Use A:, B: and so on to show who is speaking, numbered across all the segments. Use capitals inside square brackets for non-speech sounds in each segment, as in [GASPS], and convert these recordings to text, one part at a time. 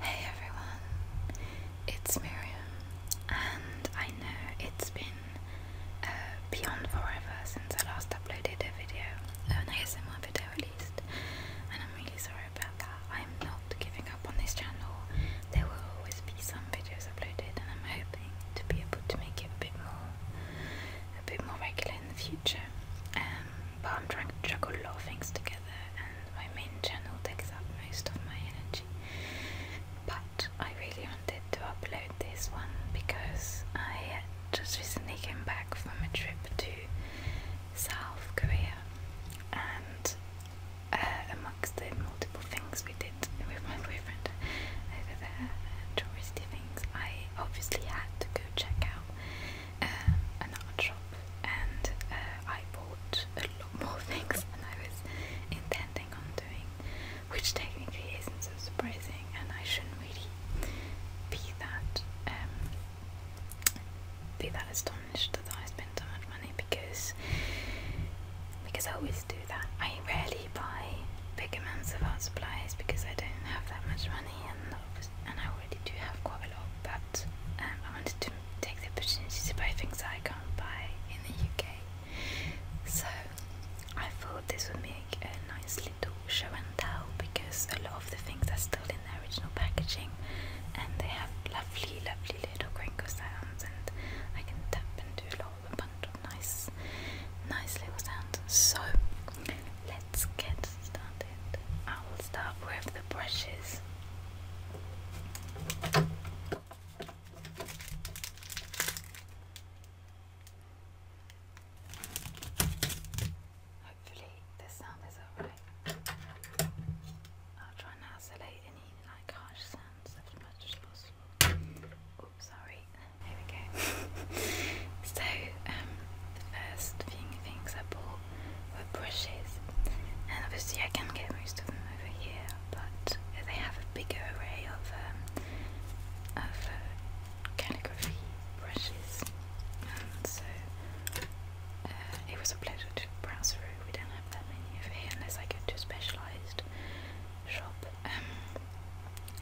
A: Hey everyone, it's Miriam, and I know it's been uh, beyond forever since I last uploaded a video, uh, an ASMR video at least, and I'm really sorry about that. I'm not giving up on this channel, there will always be some videos uploaded, and I'm hoping to be able to make it a bit more, a bit more regular in the future. Um, but I'm trying to juggle a lot of things together, my main channel takes up most of my energy. But I really wanted to upload this one because I just recently came back from a trip to South Korea and uh, amongst the multiple things we did with my boyfriend over there, touristy things, I obviously had to go check out uh, an art shop and uh, I bought a lot more [LAUGHS] things than I was intending on doing, which technically isn't so surprising, and I shouldn't really be that um, be that astonished that I spent so much money because because I always do that. I rarely buy big amounts of art supplies because I don't have that much money and and I already do have quite a lot, but um, I wanted to take the opportunity to buy things I can't buy in the UK. So I thought this would make a nice little show and tell because a lot of the things are still in their original packaging and they have lovely, lovely little crinkle sounds and I can tap and do a lot of a bunch of nice, nice little sounds. So let's get started. I will start with the brushes. Hopefully, the sound is alright. I'll try and isolate any like harsh sounds as sorry. Here we go. [LAUGHS] so, um, the first thing things I with brushes and obviously I can get most of them over here but they have a bigger array of, um, of uh, calligraphy brushes and so uh, it was a pleasure to browse through, we don't have that many over here unless I go to a specialised shop. Um,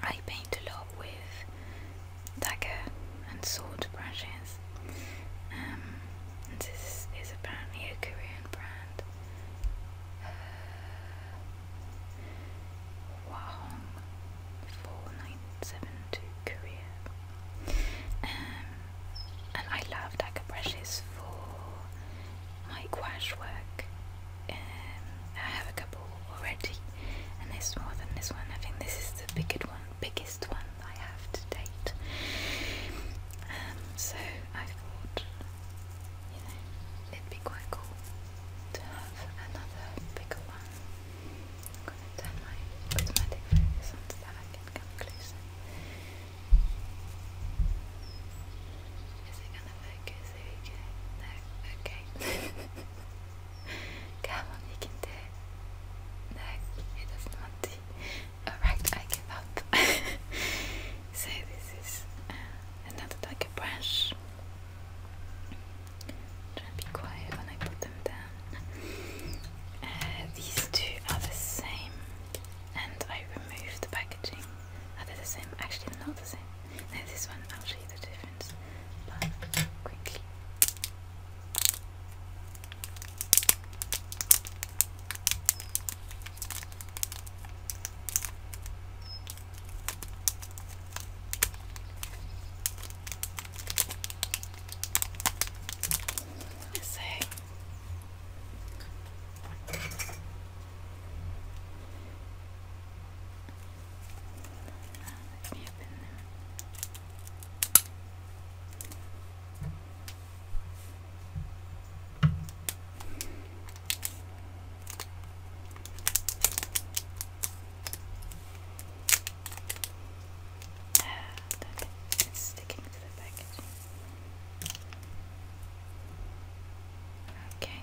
A: I paint a lot with dagger and sword brushes Christmas. Um, this is apparently a Korean brand. Uh, Wahong 4972 Korea. Um, and I love Dagger brushes for my gouache work. Um, I have a couple already, and there's more than this one. I think this is the biggest one, biggest one I have to date. Um, so I thought, you know, it'd be quite cool to have another bigger one. I'm gonna turn my automatic focus on so that I can Is it gonna focus? No, okay. [LAUGHS] Come on, you can do it. No, it not want Alright, I give up. [LAUGHS] so this is uh, another like a brush. Try be quiet when I put them down. Uh, these two are the same, and I removed the packaging. Are they the same? Actually, not the same. No, this one. I'll show you the difference, but quickly. So let me open them. Look, it's sticking to the packaging. Okay.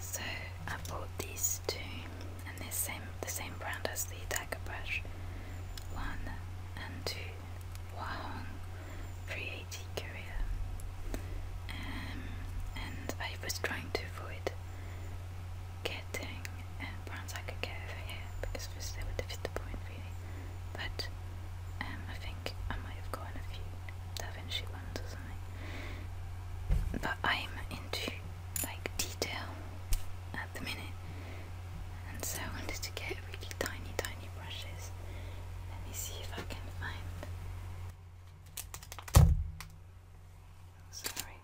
A: So I bought these two and they're same the same brand as the dagger brush. One and two Wahong pre Korea. and I was trying to avoid getting uh, brands I could get over here because they would defeat the point really. But um, I think I might have gotten a few Da ones or something. But I'm into like detail at the minute, and so I wanted to get really tiny, tiny brushes. Let me see if I can find. Sorry.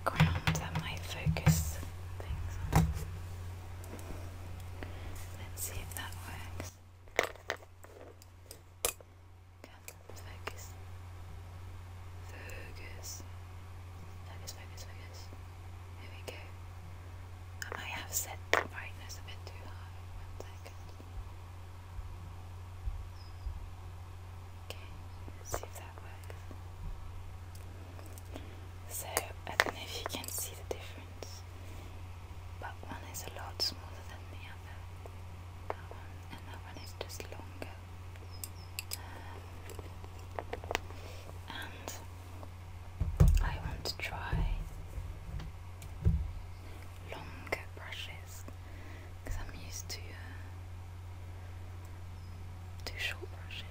A: background that might focus things Let's see if that works. Come focus. Focus. Focus, focus, focus. There we go. I might have set the brightness a bit too high. One second. Okay, see if that works. So I don't know if you can see the difference, but one is a lot smaller than the other. and that one is just longer. and I want to try longer brushes because I'm used to uh, to short brushes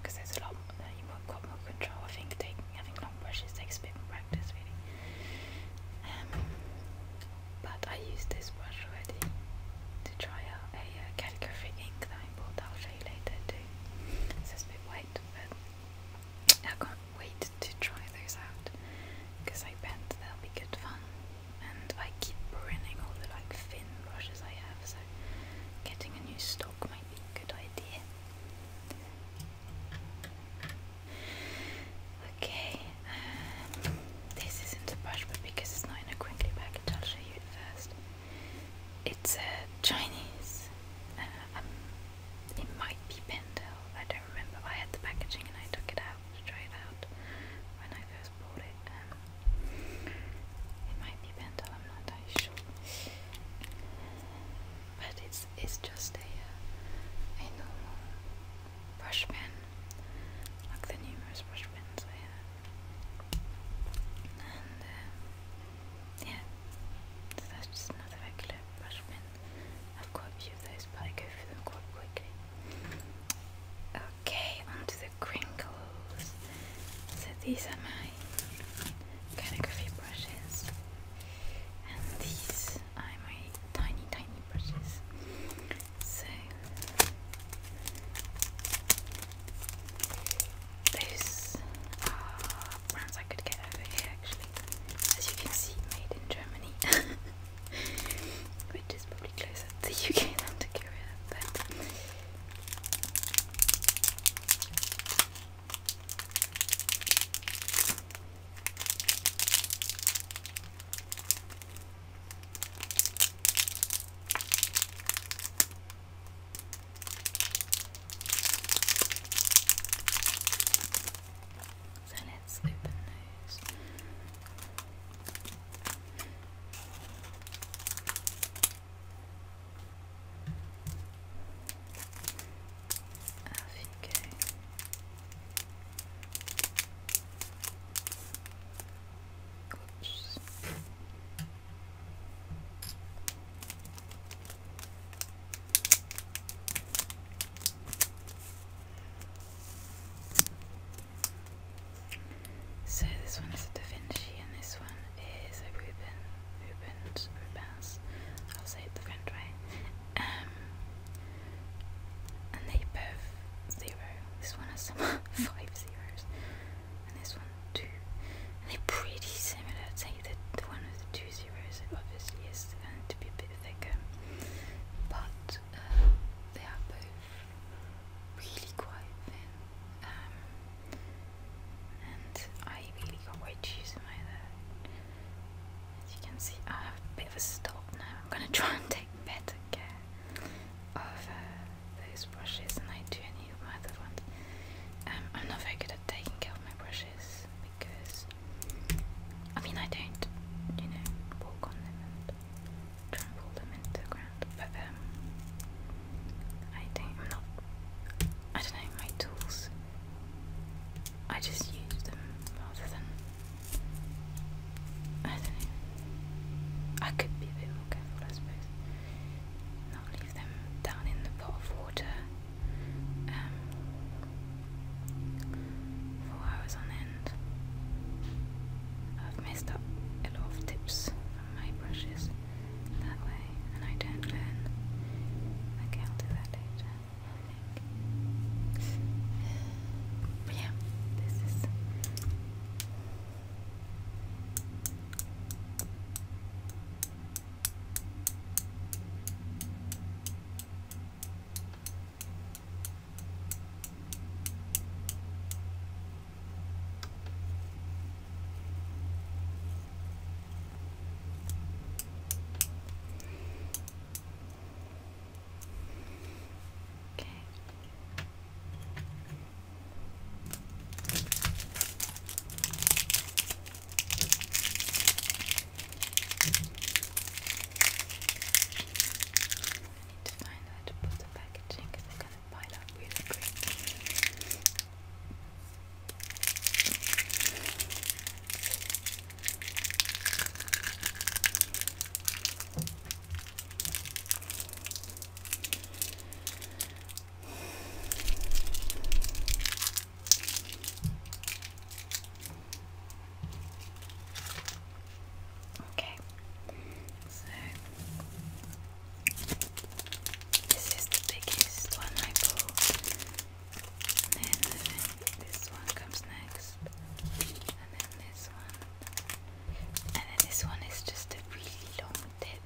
A: because there's a lot that uh, you've got more control. I think taking having long brushes takes a bit more practice, really. Um, but I used this brush already to try out a uh, calligraphy ink that I bought. That I'll show you later too. So it's a bit white, but I can't wait to try those out because I bet they'll be good fun. And I keep ruining all the like thin brushes I have, so getting a new stock might be a good idea. Okay, um, this isn't a brush, but because it's not in a crinkly package, I'll show you it first. It's a Chinese. Uh, um, it might be Pendel. I don't remember. I had the packaging and I took it out to try it out when I first bought it. Um, it might be Pendel. I'm not entirely sure but it's it's just a uh, a normal brush pen, like the numerous brush pens I have. And uh, yeah, that's just another regular brush pen. I've got a few of those, but I go through them quite quickly. Okay, onto the crinkles. So these are my my calligraphy brushes, and these are my tiny, tiny brushes. So those are brands I could get over here, actually. As you can see, made in Germany, [LAUGHS] which is probably closer to the UK than to Korea, but. So let's open those. Fiquei. Oops. So this one is a Da Vinci and this one is a Reuben, Rubens, Rubens, I'll say it the French way, um, and they both zero, this one has some [LAUGHS] five zeros, and this one two, they're pretty similar, I'd say that the one with the two zeros obviously is going to be a bit thicker, but uh, they are both really quite thin, um, and I really can't wait to use them either. As you can see, I have a bit of a stop now. I'm gonna [LAUGHS] try and take better care of uh, those brushes and I do any of my other ones. Um, I'm not very good at taking care of my brushes because, I mean, I don't, you know, walk on them and trample them into the ground, but um, I don't, I'm not, I don't know, my tools I just use them rather than. I don't know. I could be a bit more careful, I suppose. Not leave them down in the pot of water um, for hours on end. I've messed up a lot of tips from my brushes that way, and I don't learn. Okay, I'll do that later, [SIGHS] yeah, this is. Okay. I need to find where to packaging because gonna pile up really quick. Okay, so this is the biggest one I and then this one comes next. And then this one. And then this one is just a really long tip.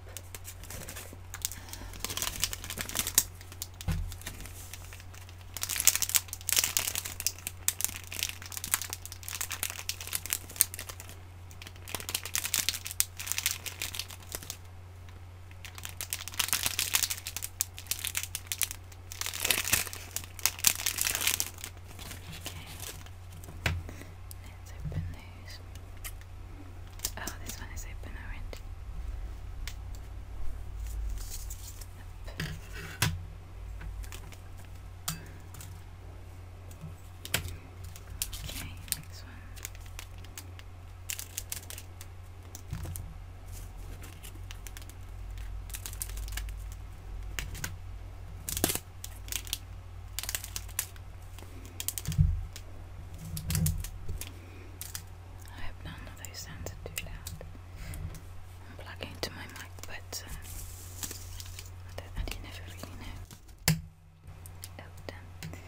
A: Okay. Let's open those. Oh, this one is open already. Okay, next one. I hope none of those sounds are too loud. I'm plugging into my mic, but uh, I I never really know. Oh, done.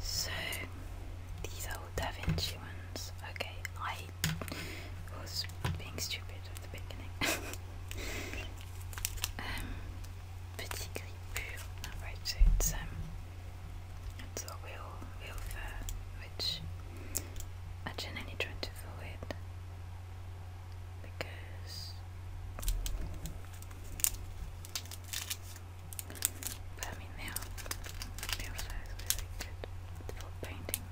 A: So these are all Da Vinci ones. Okay, I was being stupid at the beginning. [LAUGHS] Um, petit gris pure. it's um it's a fur which I generally try to avoid because I mean they are real fur is really good for painting.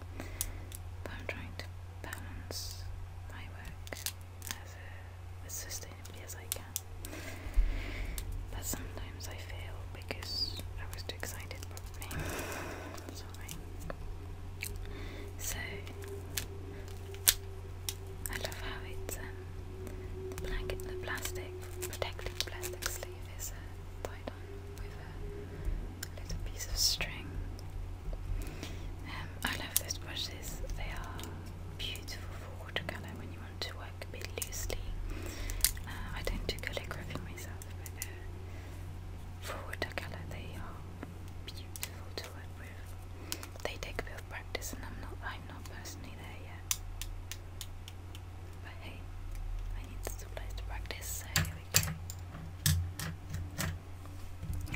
A: But I'm trying to balance my work as sustainably as I can. But sometimes I fail because I was too excited, Sorry. [SIGHS] So, I love how it's um, the plastic, protecting plastic sleeve is uh, tied on with a little piece of string. Um, I love those brushes, they are beautiful watercolor when you want to work a bit loosely. Uh, I don't do calligraphy myself, but uh, for watercolor they are beautiful to work with. They take a bit of practice, and I'm not I'm not personally there yet. But hey, I need some place to practice, so here we go.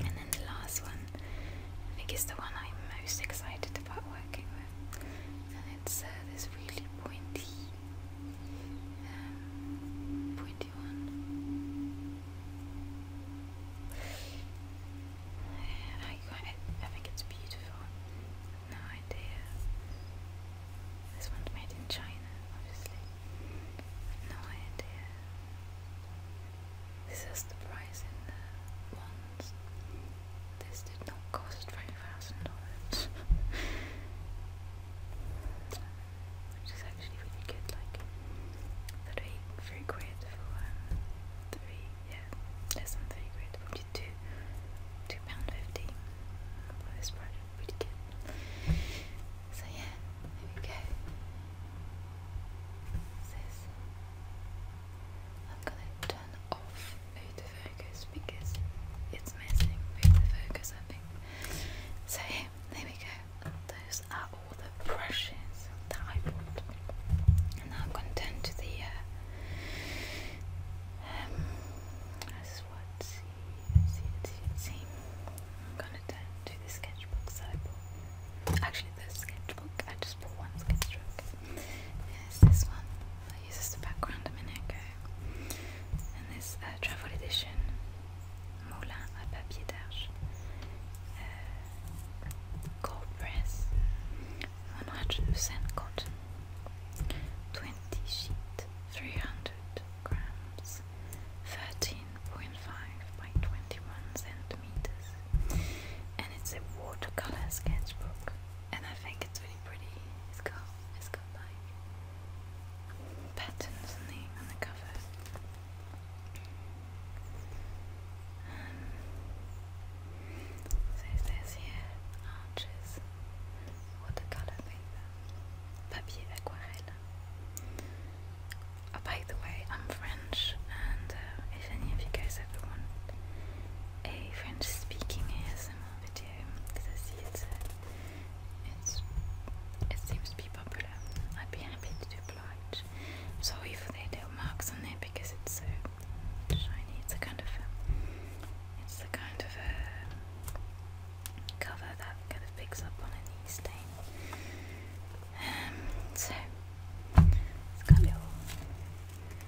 A: And then the last one, I think is the one I'm most excited liked about working with and it's uh, this really pointy um, pointy one I think it's beautiful no idea this one's made in China obviously no idea this is the price in the ones. This did not cost $20,000. Which is actually really good, like three, three quid for um, three, yeah, less than three quid, for two, two pound fifty this product, really good. So yeah, there we I'm gonna turn off the autofocus because it's messing with the focus, I think. So, there we go. Those are all the brushes that I bought. And now I'm gonna turn to the. Uh, um, this what. See, see, see, see. I'm gonna turn to the sketchbook that Actually, the sketchbook. I just bought one sketchbook is this one. I used as the background a minute ago. And this travel edition, Moulin à papier d'arche, uh, 100% cotton, 20 sheet, 300 grams, 13.5 by 21 centimeters and it's a watercolor sketchbook, and I think it's really pretty. It's got it's got like patterns on the on the cover. Um, says here arches, watercolor paper, papier aquarelle. Oh, by the way, I'm French. French, and uh, if any of you guys ever want a French-speaking ASMR video, because I see uh, it's, it seems to be popular, I'd be happy to oblige. I'm sorry for the little marks on there because it's so shiny. It's a kind of uh, it's the kind of a cover that kind of picks up on any stain. Um, so it's got little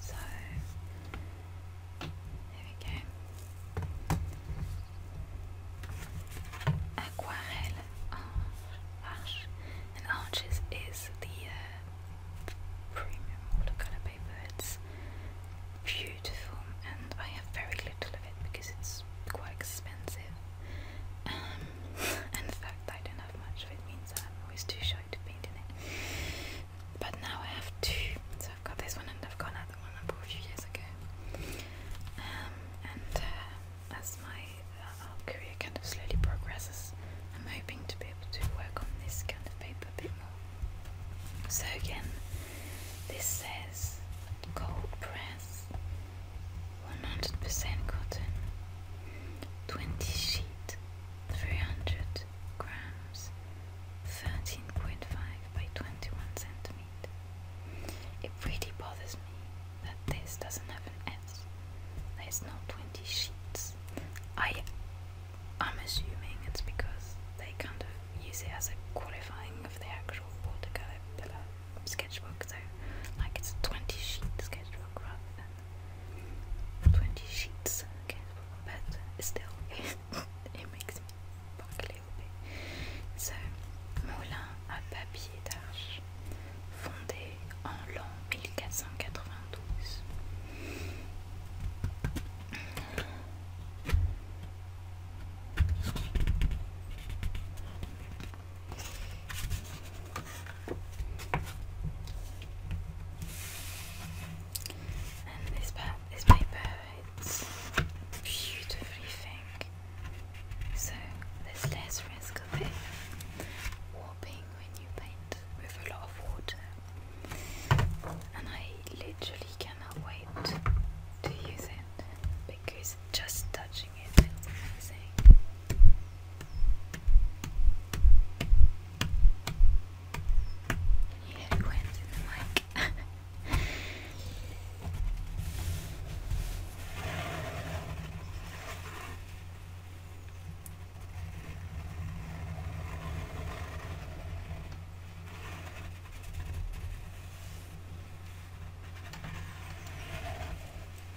A: So there we go. Aquarelle Arch and Arches is the uh, premium watercolor paper. It's beautiful, and I have very little of it because it's quite expensive. Um, [LAUGHS] and fact I don't have much of it means I'm always too shy to paint in it. But now I have two, so I've got this one and I've got another one I bought a few years ago. Um, and uh, as my uh, career kind of slowly progresses, I'm hoping to be able to work on this kind of paper a bit more. So again, this says cold press 100% cotton, 20 sheet, 300 grams, 13.5 by 21 centimeter. It really bothers me that this doesn't have an S. There's no 20 sheets. I, I'm assuming it's because they kind of use it as a qualifying of the actual watercolor pillar. sketchbook, so like it's a 20 sheets sketchbook rather 20 sheets sketchbook, but still [LAUGHS] it makes me buckle a So, moulin à papier d'arche, fondé en l'an 1492. this, paper, it's beautifully thin, so there's less risk of it warping when you paint with a lot of water. And I literally cannot wait to use it because just touching it feels amazing. Yeah, it went in the mic.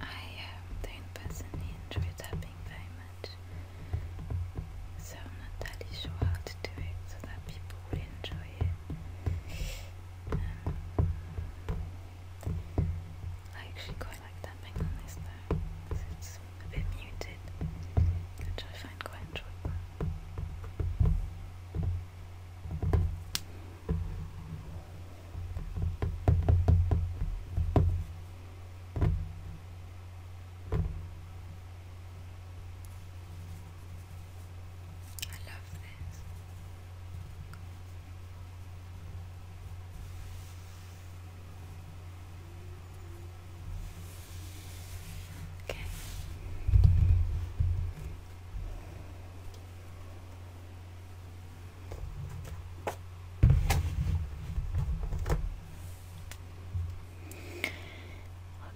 A: I um, don't personally enjoy tapping very much. So I'm not entirely sure how to do it so that people will enjoy it. Um, I actually quite like tapping on though, because it's a bit muted, which I find quite enjoyable. I love this. Okay.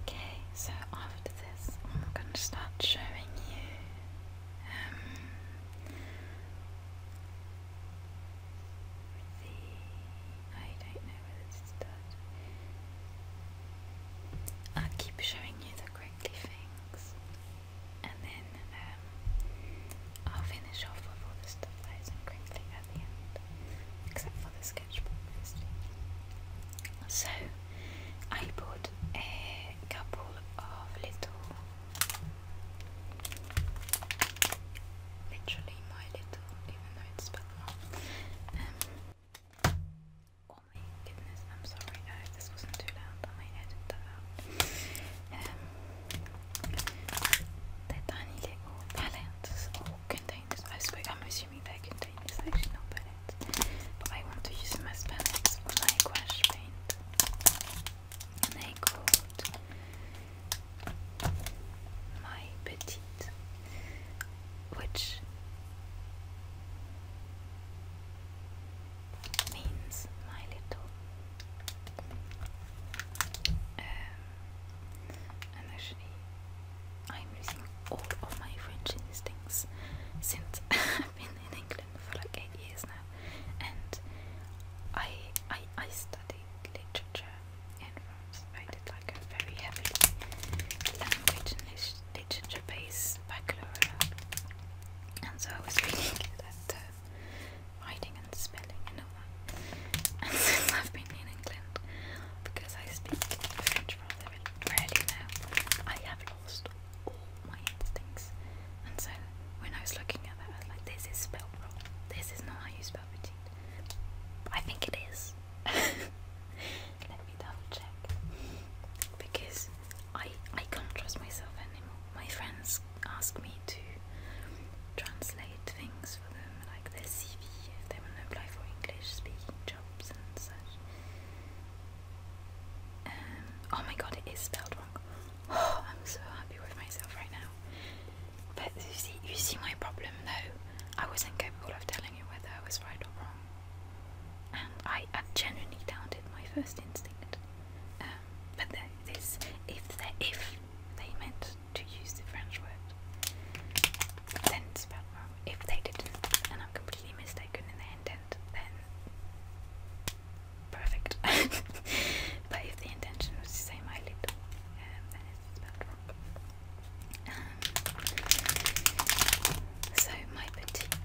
A: Okay, so after this, I'm gonna start showing you um, the. I don't know whether to start. I'll keep showing you the crinkly things, and then um, I'll finish off with all the stuff that isn't at the end. Except so I bought a couple of little, literally my little, even though it's spelled wrong. Um, oh my goodness, I'm sorry, I this wasn't too loud, I might edit that out. Um, the tiny little palettes or containers, I suppose, I'm assuming they contain I want to use them as my gouache paint. And they called My Petite, which means my little. Um, and actually I'm losing all of my French instincts since [LAUGHS] I've been in England for like eight years now and I I, I studied literature in France. I did like a very heavily language and literature based baccalaureate and so I was reading that uh, writing and spelling and all that. [LAUGHS] And I've been in England because I speak French really now. I have lost all my instincts. And so when I was looking at that, I was like, this is spelled wrong. This is not how you spell I think it is. [LAUGHS] Let me double check. Because I I can't trust myself anymore. My friends ask me to translate things for them, like their CV, if they want to apply for English speaking um, oh my god, it is spelled wrong. [GASPS] I'm so happy with myself right now. But you see, you see my problem though. I was not capable of telling you whether I was right or wrong, and I, genuinely doubted my first instinct. Um, but this, if they, if they meant to use the French word, sentence spelled wrong. If they didn't, and I'm completely mistaken in the intent, then perfect. [LAUGHS] but if the intention was to say my um, then it's spelled wrong. Um, so my petite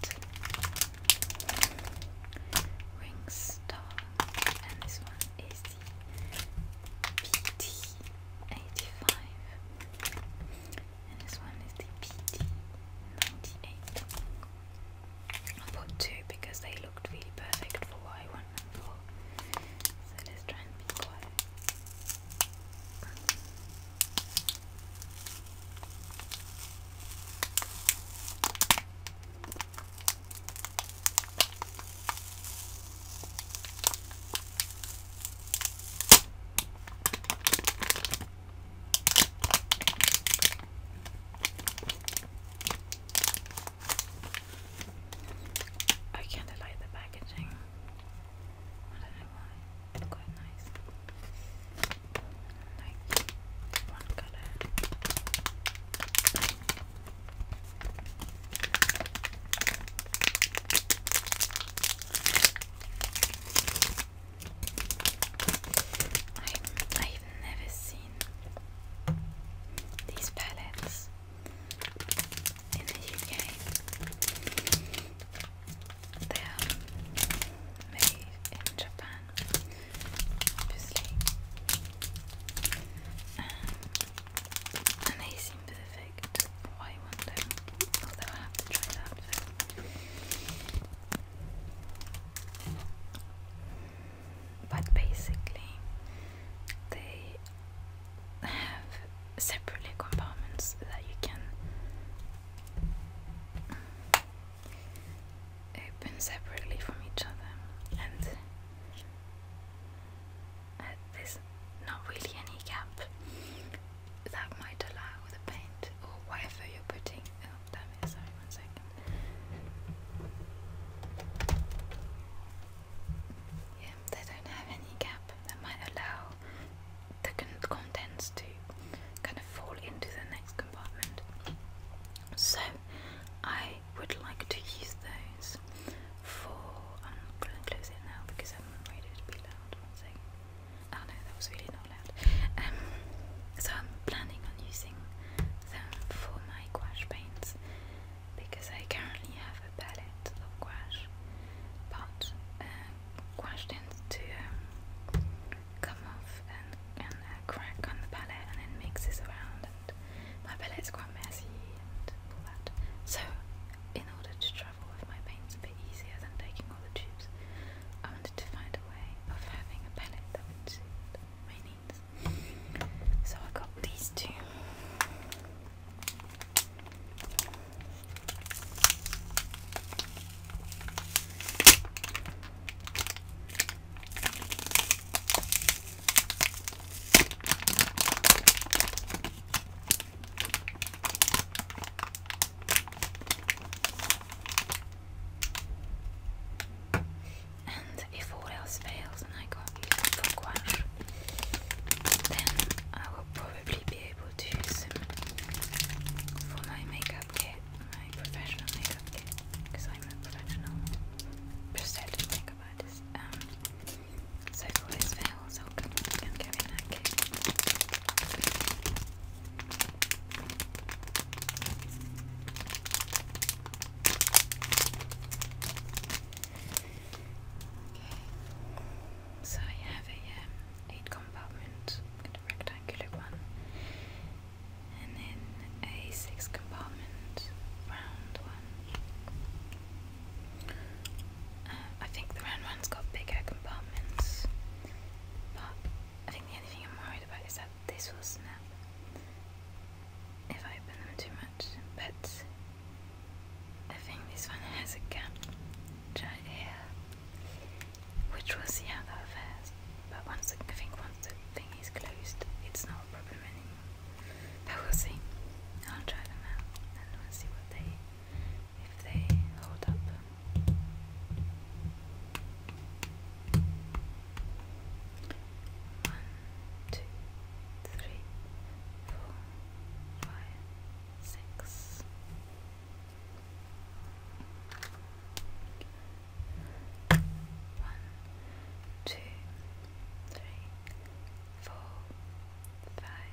A: ring star, and this one is the PT85 and this one is the PT98. I put two because they looked really perfect for what I want for. So let's try and be quiet. I kind of like the packaging. I don't know why. quite nice. Like one color. I, I've never seen these palettes in the UK. They are made in Japan, obviously. Um, and they but basically, they have separately compartments that you can open separately from each other, and uh, there's not really any gap that might allow the paint or whatever you're putting. Oh, damn it, sorry, one second. Yeah, they don't have any gap that might allow the contents to kind of fall into the next compartment. So, I would like to use those for. I'm um, going to close it now because I'm afraid it would be loud. One second. Oh ah, no, that was really not loud. Ehm, so I'm planning on using them for my gouache paints because I currently have a palette of gouache, but uh, ehm, gouache tends to um, come off and, uh, crack on the palette and then mixes around, and my palette's quite messy and all that. So, in order to travel with my paints a bit easier than taking all the tubes. I wanted to find a way of having a palette that would suit my needs. So I got these two. And if all else fails and I can't for gouache, then I will probably be able to use for my makeup kit, my professional makeup kit, because I'm a professional prosthetic makeup artist. Um, so all so coming I have a um, eight compartment, rectangular one, and then a six compartment round one. I think the round one's got bigger compartments, but I think the only thing I'm worried about is that this will snap if I open them too much. But I think this one has a gap right here, which we'll see how that fares. But once I think once the thing is closed, it's not a problem anymore. But we'll see. I'll try them out and we'll see what they if they hold up. One, two, three, four, five, six. One, two, three, four, five.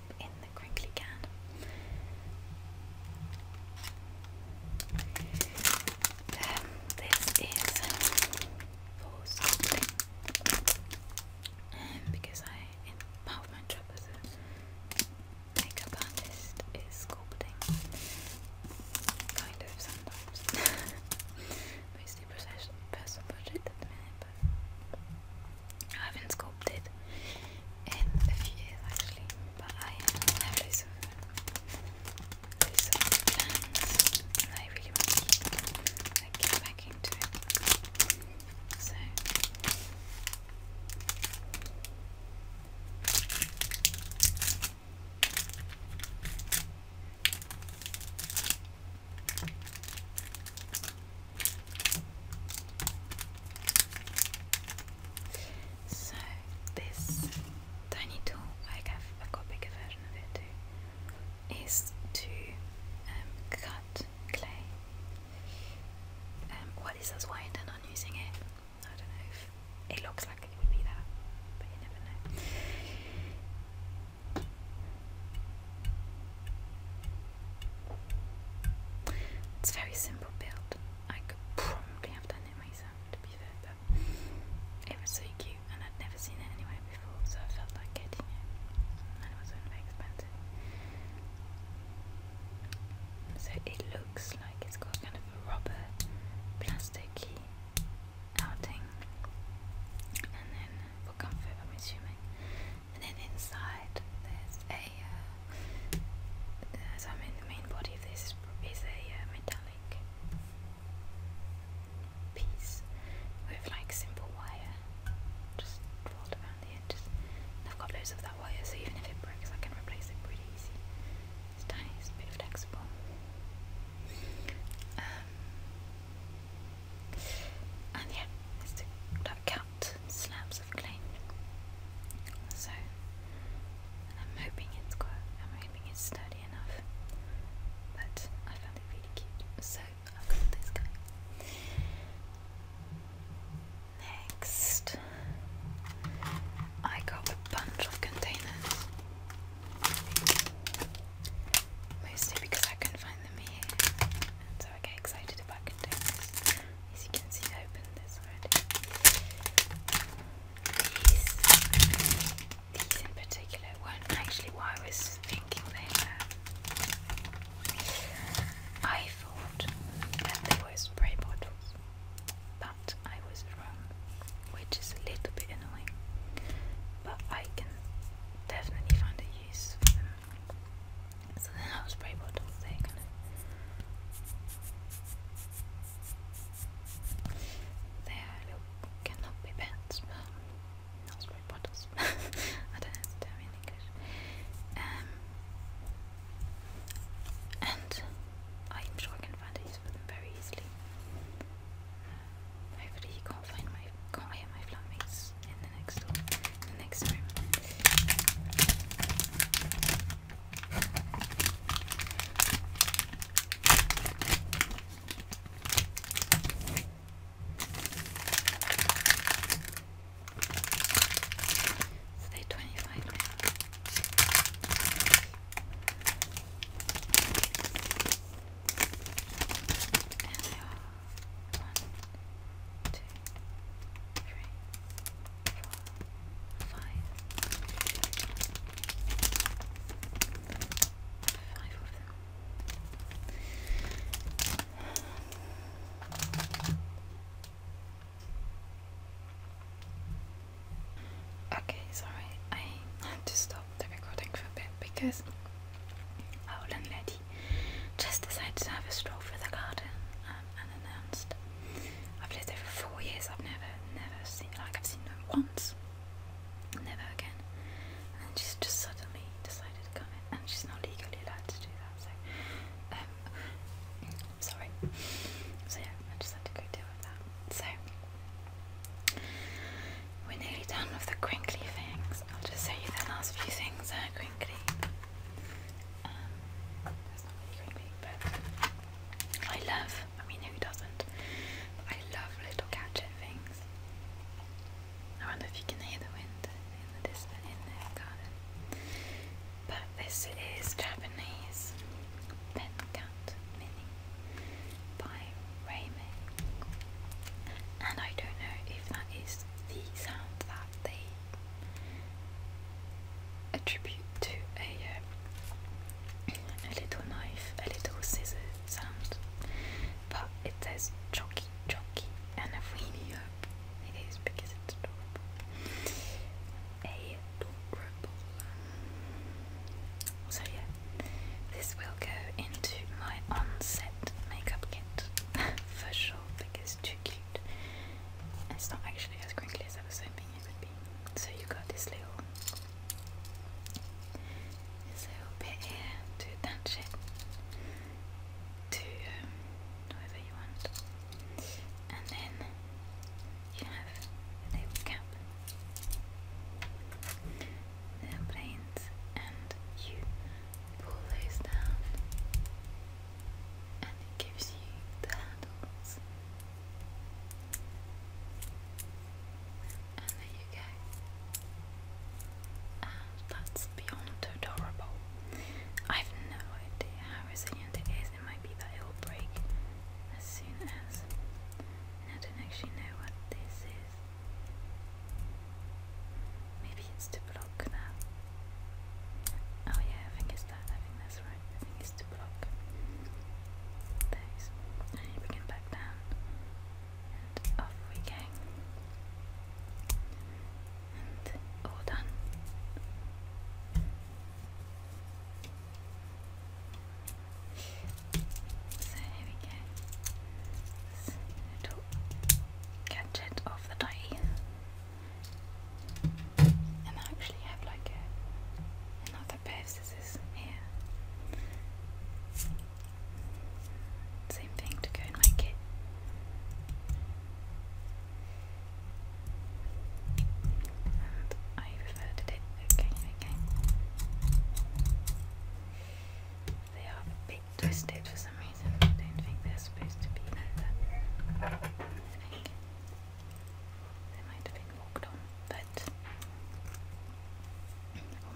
A: up in the crinkly can. this is pause um, because I part of my job as a makeup artist is sculpting, kind of sometimes, [LAUGHS] mostly personal budget I haven't sculpted in a few actually, but I have loads of, loads and I really want to get back into it. So so this tiny tool, I have a copy version of it too, is to um, cut clay. Um, this is I intend using it. I don't know it looks like it would be that, but you never know. It's very simple build. I could probably have done it myself to be fair, but it was so cute and I'd never seen it anywhere before, so I felt like getting it. And it was only expensive. So it looks like it's got kind of a rubber plasticky outing. And then for comfort I'm And then inside there's a a uh, so I the main body this is a uh, metallic piece with like simple wire just rolled around the edges. I've got loads of that wire, so even if it breaks, I can replace it pretty easy. It's bit flexible. Um, and yeah, it's the, that slabs of clay. So, I'm hoping it's quite, I'm hoping it's sturdy enough. But I found it really cute, so I've got this guy. Next, I got a bunch of containers. Mostly because I could find them here, and so I get excited about containers. As you can see, I this already. These, these in particular weren't actually what was thinking they were. I thought that they were spray bottles, but I was wrong, which is a little bit annoying. But I can definitely find a use for them. So they're not spray bottles, they're kind of there, look, cannot be pets, but not spray bottles. [LAUGHS] I don't know the term in English. Um, and I'm sure I can find a use for them very easily. Uh, hopefully, you can't find my can't hear my flatmates in the next door, the next room. So they're 25 now. And they are one, two, three, Okay, sorry, I had to stop the recording for a bit because Owl and just decided to have a stroll through the garden um, unannounced. I've lived there for four years. I've never, never seen like I've seen them once. Never again. And she's just suddenly decided to come in, and she's not legally allowed to do that. So, um, sorry. So yeah, I just had to go deal with that. So. We're nearly done with the crinkly things. I'll just show you the last few things that um, I love, I mean, who doesn't? I love little gadget things. I wonder if you can hear the wind in the in the garden. But this is Japanese Pencat by Raymond. And I don't know if that is the sound that they attribute to a, uh, a little knife, a little scissor sound, it says Jockey Jockey, and I really hope it is because it's adorable. Adorable. So, yeah, this will go into my on makeup kit [LAUGHS] for sure because it's too cute. It's not actually as crinkly as I was hoping baby. So you got this little, this little bit here to attach it to um, whatever you want, and then you have a cap, little planes, and you pull those down, and it gives you the handles and the UK. And that's beyond adorable. I've no idea how resilient it is. It might be that it'll break as soon as. I don't actually know what this is. Maybe it's to block that. Oh yeah, I think it's that. I think that's that's right, I to block those. And we can back down and off we go. And all done. So here we go. little gadget of the day. And I actually have like a, another pair of scissors here. Same thing to go in my kit. And I reverted it again and They are a twisted for some reason. I don't think they're supposed to be like that. I think they might have been but or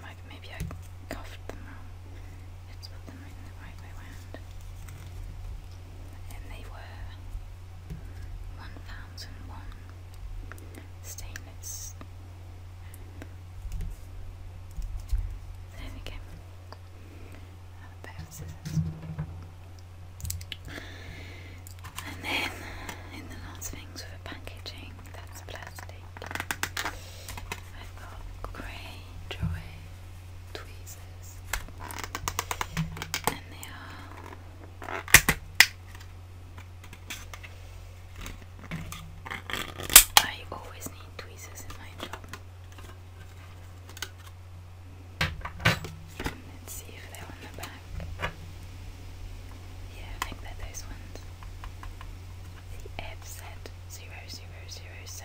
A: maybe, maybe I cuffed them wrong. Let's put them in the right way round. And they were 1001 stainless. There we go. Another of scissors. And then in the last things for packaging, that's plastic. I've got grey joy tweezers, and they are I always need tweezers in my job. Let's see if they're on the back. Yeah, I think they're those ones. FZ0007.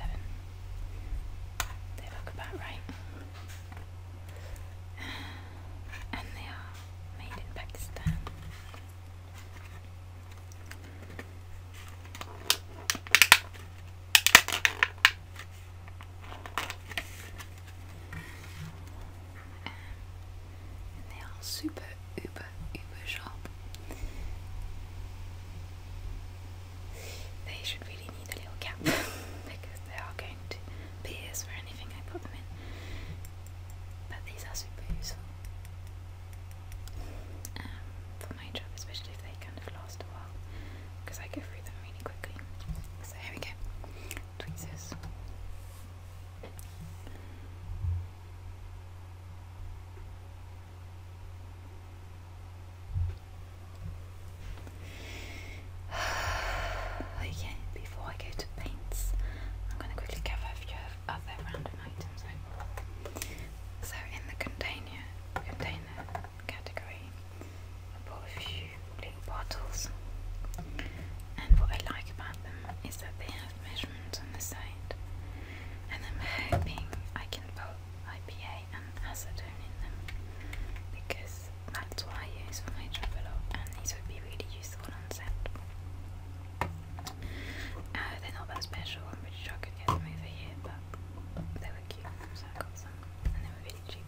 A: They look about right. And they are made in Pakistan they are super uber uber sharp. They should really need a little cap [LAUGHS] because they are going to pierce for anything I put them in. But these are super useful um, for my job, especially if they kind of last a while because I go through them really quickly. So here we go tweezers. okay, [SIGHS] before I go to paints, I'm going to quickly cover a few other random items. So in the container, container category, I a few little bottles, and what I like about them is that they have measurements on the side, and I'm hoping I can put IPA and acetone in them because that's what I use for my travel, a lot, and these would be really useful on set. Uh, they're not that special. I'm pretty sure I could get them over here, but they were cute, so I got some, and they were really cheap.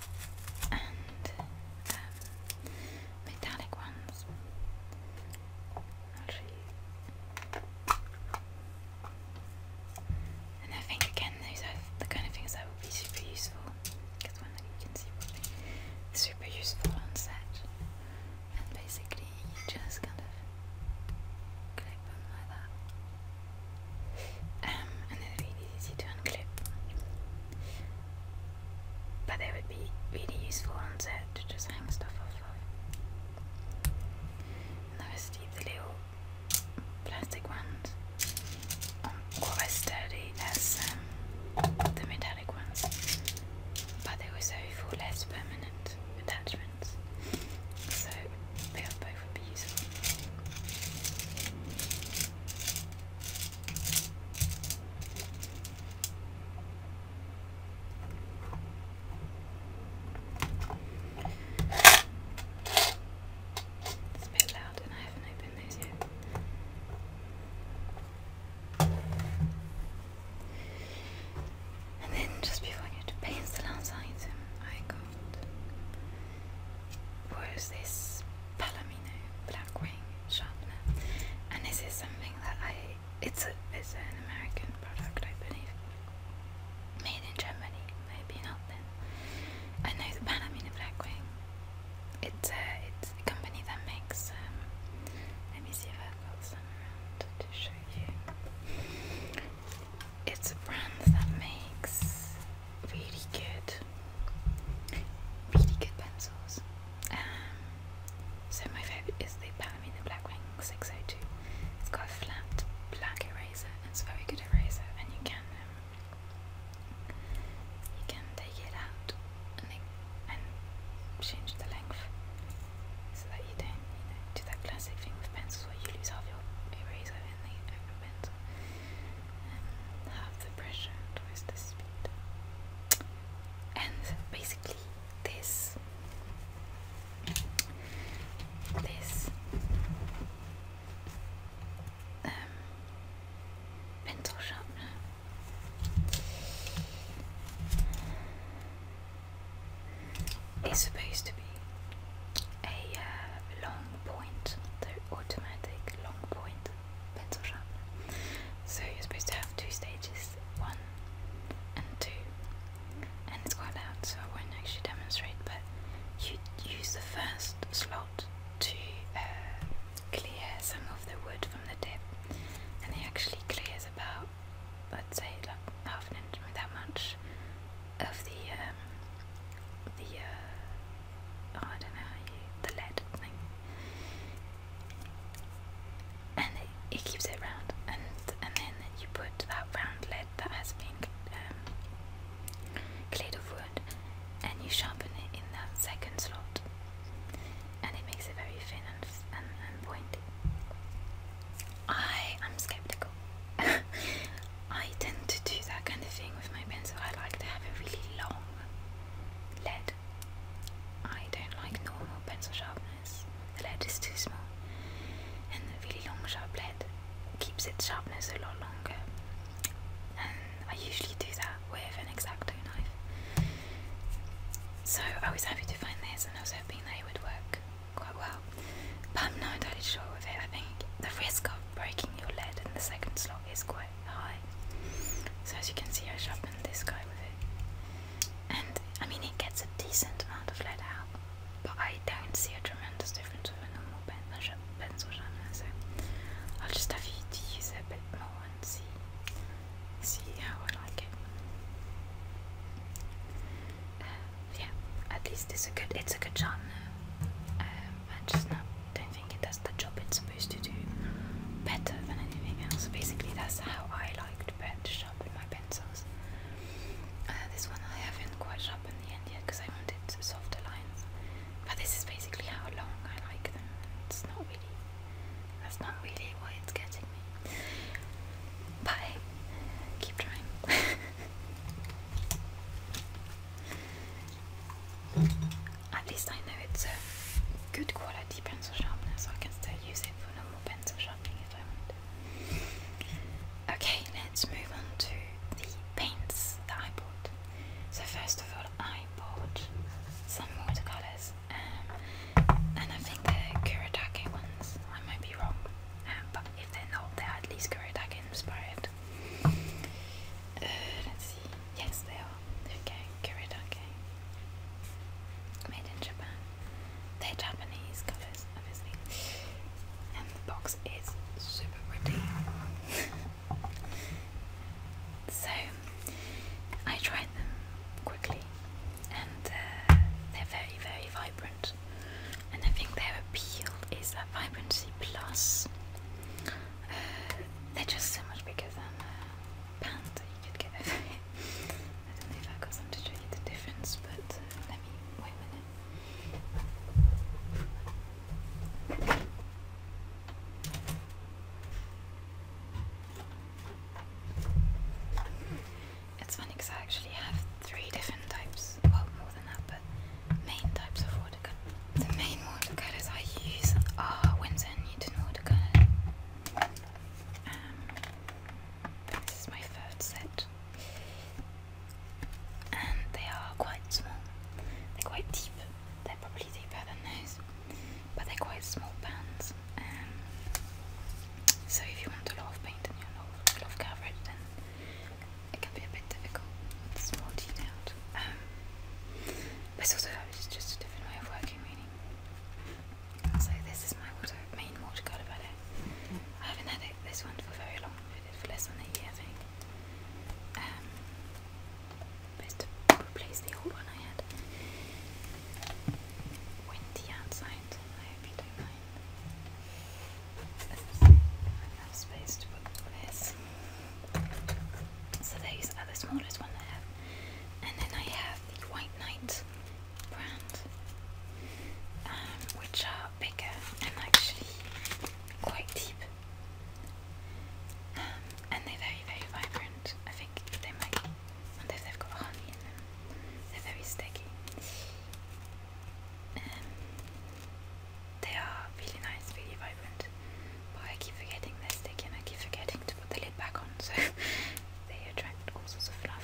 A: and um, metallic ones. i And I think again, those are the kind of things that would be super useful. Because one can be super useful on set. And basically, you just kind of clip them like that. Um, and then really easy to unclip. But they would be really useful on set to just hang stuff off of. And the rest of the little plastic ones are um, quite as sturdy as um, the metallic ones, but they were so for less permanent attachments. So they are both would It's a bit loud and I haven't opened those yet. And then just before I get to the last item, I got was this Palomino Blackwing sharpener, and this something that I it's a it's an American product, I believe, made in Germany, maybe not. Then I know the Palomino Blackwing. It's a it's a company that makes. Um, let me see if I've got some around to show you. It's a brand that makes really good, really good pencils. Um, so my favourite is the Palomino Blackwing 602. It's got a flat black eraser. It's a very good eraser, and you can um, you can take it out and change the length so that you don't do that classic thing with pencils where you lose half your eraser in the open pencil have the pressure towards the speed. And basically, this, this um, pencil sharpener. It's supposed to be a uh, long point, the automatic long point pencil sharpener. So you're supposed to have two stages, one and two. And it's quite loud, so I won't actually demonstrate, but you use the first slot to uh, clear some of the wood from the tip, and it actually clears about, let's say, like half an inch, that much of the um, the uh, Oh, I don't know how you the lead thing, and it, it keeps it round, and and then you put that round lead that has been um, cleared of wood, and you sharpen it in that second slot, and it makes it very thin and, and pointy. I am skeptical. [LAUGHS] I tend to do that kind of thing with my pencil. I like to have a really long lead. I don't like normal pencil sharpness. The lead is too small. And the really long sharp lead keeps its sharpness a lot longer. And I usually do that with an exacto knife. So I was happy to find this and I was hoping that it would work quite well. But I'm not entirely sure with it. I think the risk of breaking your lead in the second slot is quite quite So as you can see, I sharpened this guy with it, and I mean it gets a decent amount of lead out, but I don't see a tremendous difference with a normal pen pencil sharpener. So I'll just have you use it a bit more and see see how I like it. Uh, yeah, at least it's a good it's a good genre. Um, just not I don't think it does the job it's supposed to do better than anything else. Basically, that's how I like to, sharpen my pencils. Uh, this one I haven't quite sharpened the end yet because I wanted softer lines. But this is basically how long I like them. It's not really, that's not really why it's getting me. But keep trying. [LAUGHS] At least I know it's a good quality pencil sharpener, so I can still use it for normal pencil sharpening if I want. Okay, let's move on to the paints that I bought. So first of all, I bought some watercolors, um, and I think they're Kuretake ones. I might be wrong, um, but if they're not, they're at least Kuretake inspired. Uh, let's see. Yes, they are. Okay, Kuridake. Made in Japan. They're Japanese colours, obviously. And the box is super pretty. [LAUGHS] so, I tried them quickly, and uh, they're very, very vibrant. And I think their appeal is that vibrancy plus. [SIGHS] they're just so much bigger than uh, that you could get over [LAUGHS] I don't know if i got some to show you the difference, but uh, let wait a minute. It's funny because I actually have three different types, well, more than that, but main types of the main watercolors I use are Winsor and Newton watercolor. Um, this is my third set, and they are quite small. They're quite deep. They're probably deeper than those, but they're quite small pans. Um, so if you want a lot of paint and you want a lot of coverage, then it can be a bit difficult. It's more but also it's just a different way of working really. So this is my water, main watercolour palette. I haven't had it, this one for very long, I have had it for less than a year I think. Um, but to replace the old one I had. Windy outside, I hope you don't mind enough space to put this. So these are the smallest one I And then I have the White Knight brand, um, which are bigger and actually quite deep. Um, and they're very, very vibrant. I think they might, and if they've got honey in them, they're very sticky. Um, they are really nice, really vibrant. But I keep forgetting they're sticky and I keep forgetting to put the lid back on, so [LAUGHS] they attract all sorts of fluff.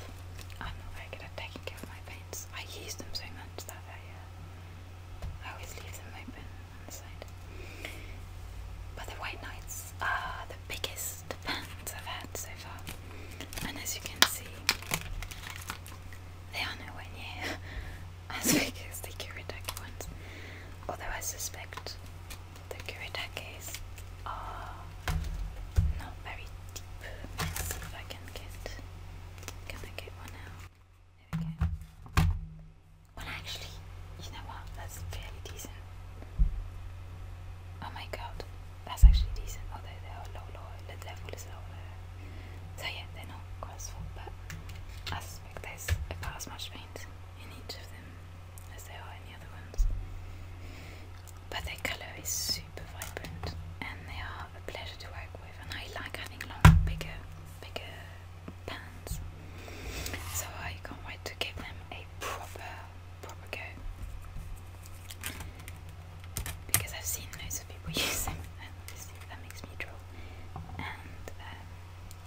A: I'm not very good at taking care of my paints. I use them so much that I, uh, always leave them open on the side. But the White Knights are the biggest pants [LAUGHS] I've had so far. And as you can see, they are nowhere near as [LAUGHS] big as the Kuretake ones. Although I suspect the Kuritakes are not very deep. if I can get can I get one now? There we go. Well actually, you know what? That's fairly decent. Oh my god, that's actually decent. Although they are low, low, the level is lower. So yeah, they're not quite but I suspect there's about as much paint in each of them as they are in the other ones. But their colour is super vibrant and they are a pleasure to work with and I like having long, bigger, bigger pans. So I can't wait to give them a proper, proper go. Because I've seen loads of people [LAUGHS] use them and obviously that makes me drool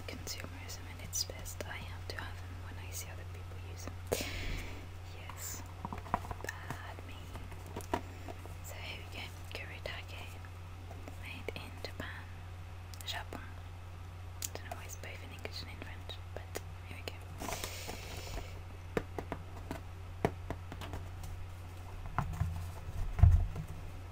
A: consumerism in its best. I have to have them when I see other people use them. Yes, bad me. So here we go, Kuritake, made in Japan, Japon. don't know why it's both in English and French, but here we go.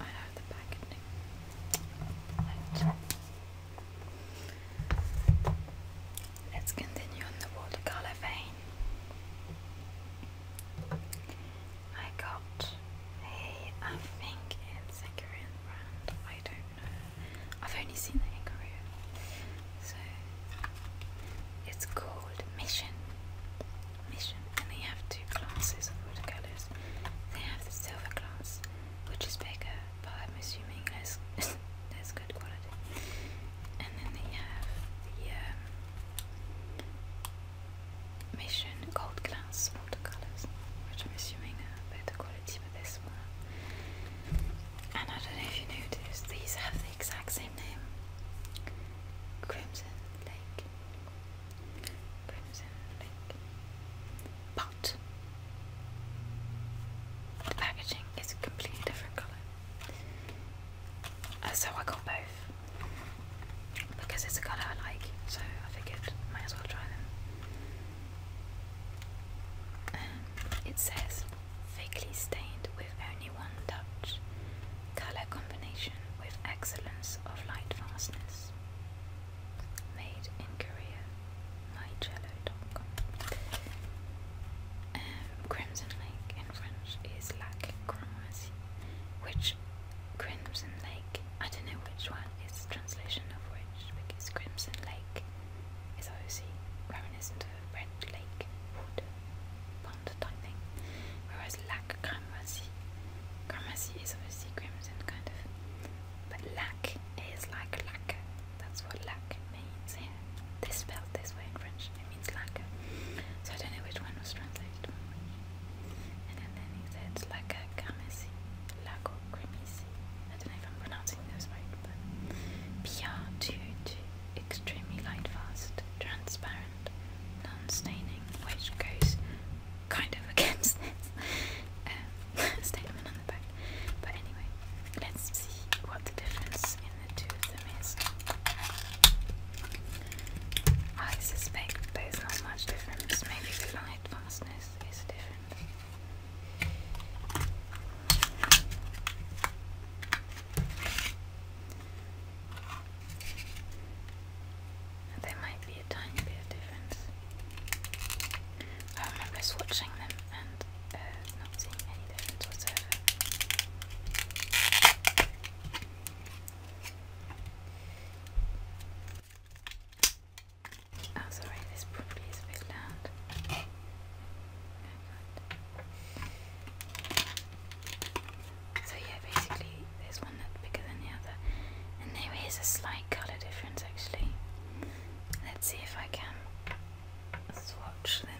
A: I know the packaging. Right. Let's continue on the watercolor vein. I got a, I think it's a Korean brand, I don't know. I've only seen it in Korea. So it's called Mission. Mission, and they have two classes of watercolors. They have the silver class, which is bigger, but I'm assuming that's [LAUGHS] that's good quality. And then they have the um, Mission Gold Glass watercolors, which I'm assuming better quality for this one. And I don't know if you noticed, these have the exact same name. Crimson Lake. Crimson Lake. But the packaging is a completely different colour. Uh, so I got both because it's a colour I like, so I figured might as well try them. Um, it says thickly stained with only one touch, colour combination with excellence of light fastness. Made in Korea. Um, crimson Lake in French is Lac Cramoisi, which Crimson Lake, I don't know which one is translation of which, because Crimson Lake is obviously reminiscent of red lake, water, pond type thing, whereas Lac Cramoisi, Cramoisi is obviously crimson kind of, but Lac is like lacquer, that's what lac means here. This spelled this way in French. It means lac. So I don't know which one was translated one way. And then, then he said laca carmessi, lago cremisi. I don't know if I'm pronouncing those right, but Pierre too, too extremely light fast, transparent, non-staining, which goes kind of [LAUGHS] against this um, [LAUGHS] statement on the back. But anyway, let's see what the difference the tooth of mist. I suspect there's not much difference, maybe the light fastness is different. There might be a tiny bit of difference. I remember swatching them and uh, not seeing Oh, sorry, this probably is a bit loud. Oh, so yeah, basically there's one that's bigger than the other. And there is a slight colour difference actually. Let's see if I can swatch them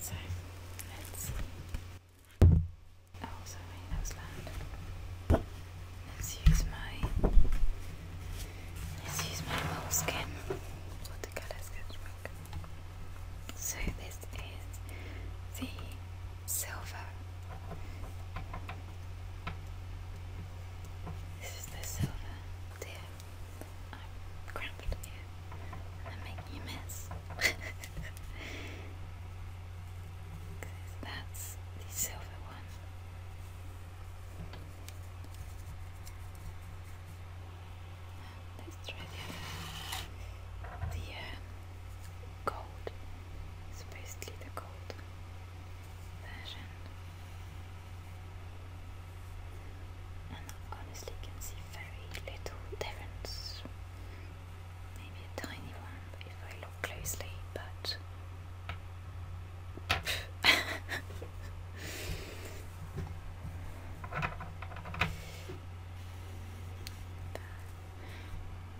A: So, let's see. Oh, that Let's use my let's use my moleskin watercolor So this is the silver. This is the silver deer. I'm cramped here I'm making a mess. that's the silver one. let's try the The um, gold. Supposedly the gold version and I honestly can see very little difference. Maybe a tiny one if I look closely, but [LAUGHS]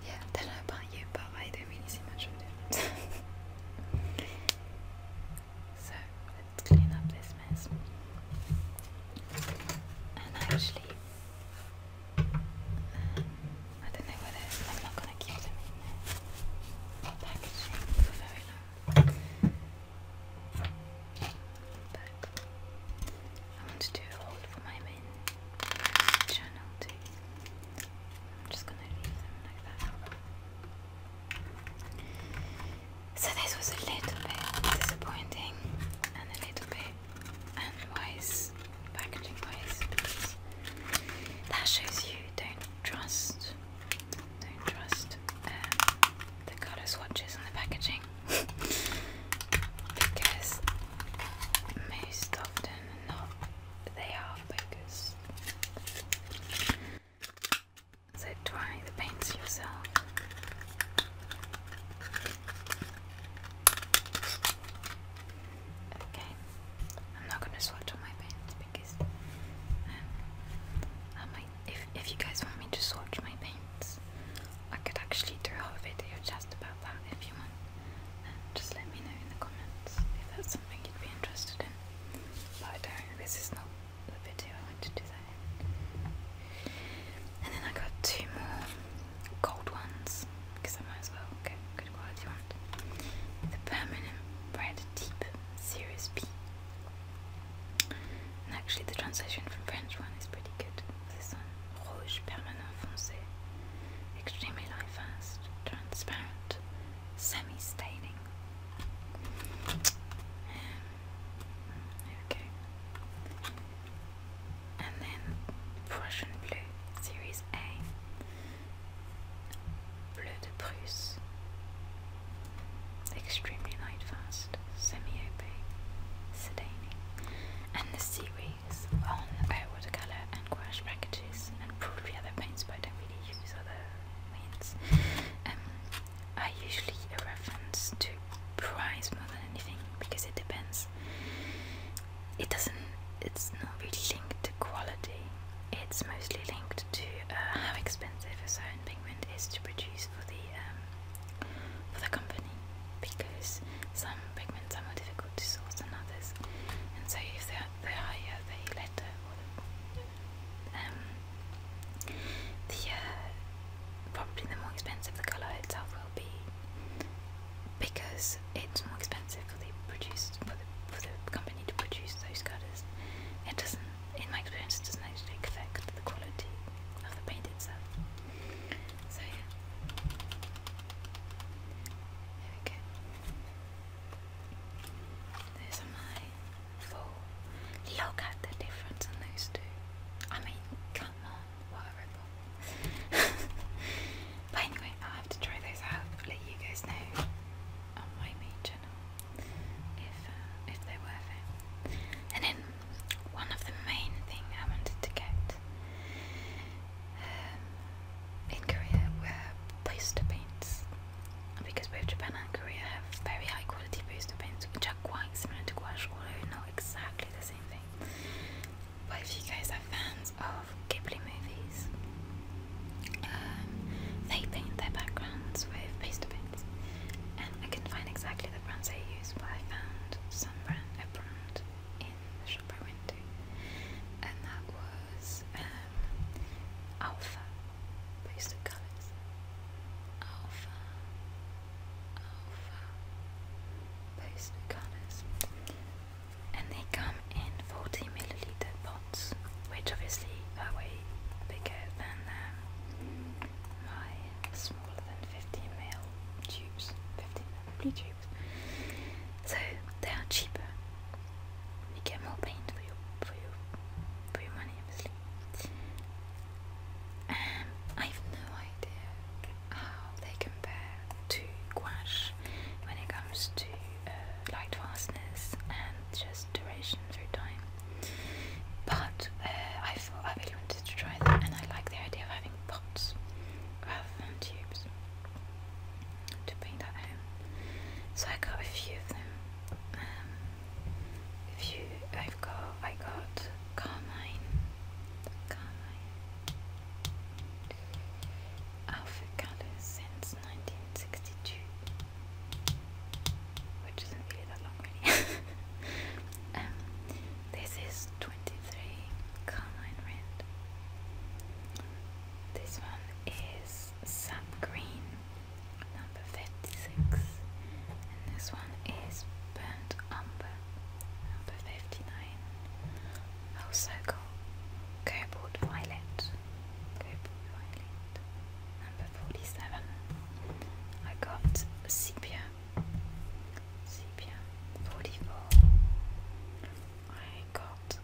A: yeah, I about you, but I don't really see much of difference. [LAUGHS] So let's clean up this mess. And actually, um, I don't know whether I'm not going to keep them in there. packaging for very long. But I want to do a haul for my main channel too. I'm just going to leave them like that. So this was a little bit disappointing and a little bit unwise packaging wise because that shows you don't trust don't trust um, the colour swatches on the packaging [LAUGHS] because most often not they are focused. So dry the paints yourself. Okay, I'm not gonna swatch on my paints because um, I might. If if you guys want me to swatch my paints, I could actually do a video just about that if you want. Um, just let me know in the comments if that's something you'd be interested in. But This is not the video I want to do that And then I got two more gold ones, because I might as well get a good quality one. The Permanent Bread Deep Series B. actually the translation from French one is pretty good. This one, Rouge Permanent Foncé, extremely light fast, transparent, semi-staining. Um, Okay. And then Prussian Blue Series A. Bleu de Prusse. Extremely light fast, semi-opaque, sedating. And the series on watercolor and gouache packages and probably other paints but I don't really use other paints. Um, I usually reference to price more than anything because it depends. It doesn't. It's not really linked to quality. It's mostly linked to uh, how expensive a certain pigment is to produce for the um, for the company. Because some pigments are more difficult to source than others, and so if they're the higher the letter or the um, the uh, probably the more expensive the colour itself will be, because it's more expensive for the produce for the, for the company to produce those colours. It doesn't, in my experience, it doesn't actually affect the quality of the paint itself. So yeah, there we go. my Look at the difference in those two. I mean, come on, what [LAUGHS] but anyway, I'll have to try those out, let you guys know on my main channel if, uh, if they're worth it. And then one of the main thing I wanted to get um, in Korea were poster paints. Because both Japan and Korea have very high quality poster paints which are quite similar to gouache although not exactly the same thing. But you guys are fans of Ghibli movies, um, they paint their backgrounds with paste bits, and I could find exactly the brands they use, but I found some brand, a brand in the shop I and that was um, Alpha. Paste colors. Alpha of post-colours. And they come in 40 milliliter pots, which obviously are way bigger than um, my smaller than 15 ml tubes, 15 ml tubes. So they are cheaper. You get more paint for your for your for your money, obviously. Um, I've no idea how they compare to gouache when it comes to uh, and just duration through time. But uh, I thought I really wanted to try them, and I like the idea of having pots rather than tubes to paint at home. So I got a few of them. Um, a few. I've got. I got Carmine, Carmine. Alpha Colors since 1962, which isn't really that long, really. [LAUGHS] Um, this is 23 Carmine Red. This one is Sap Green, number 56, and this one is Burnt Umber, number 59. Also oh, called Cobalt Violet, Cobalt Violet, number 47. I got Sepia, Sepia, 44. I got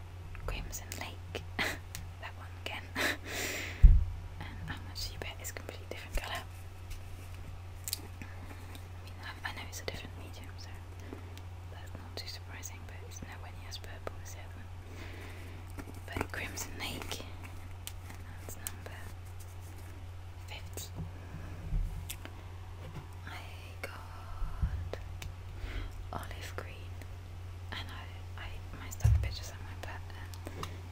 A: Crimson Lake, [LAUGHS] that one again. [LAUGHS] and how is completely different colour. I, mean, I know it's a different medium, so that's not too surprising, but it's nowhere near as purple as the other one. But Crimson Lake, and that's number 50. I got olive green, and I, I might still have pictures somewhere, but uh,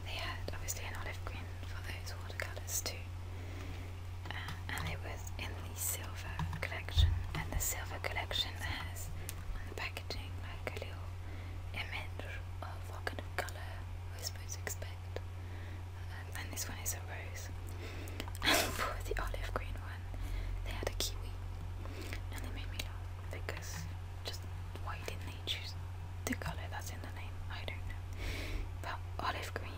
A: they had obviously an olive green for those watercolors too, uh, and it was in the silver collection. And the silver collection has on the packaging like a little image of what kind of color we're supposed to expect. Uh, and this one is a rose. [LAUGHS] And for the olive green one, they had a kiwi, and they made me laugh because just why didn't they choose the color that's in the name, I don't know. But olive green,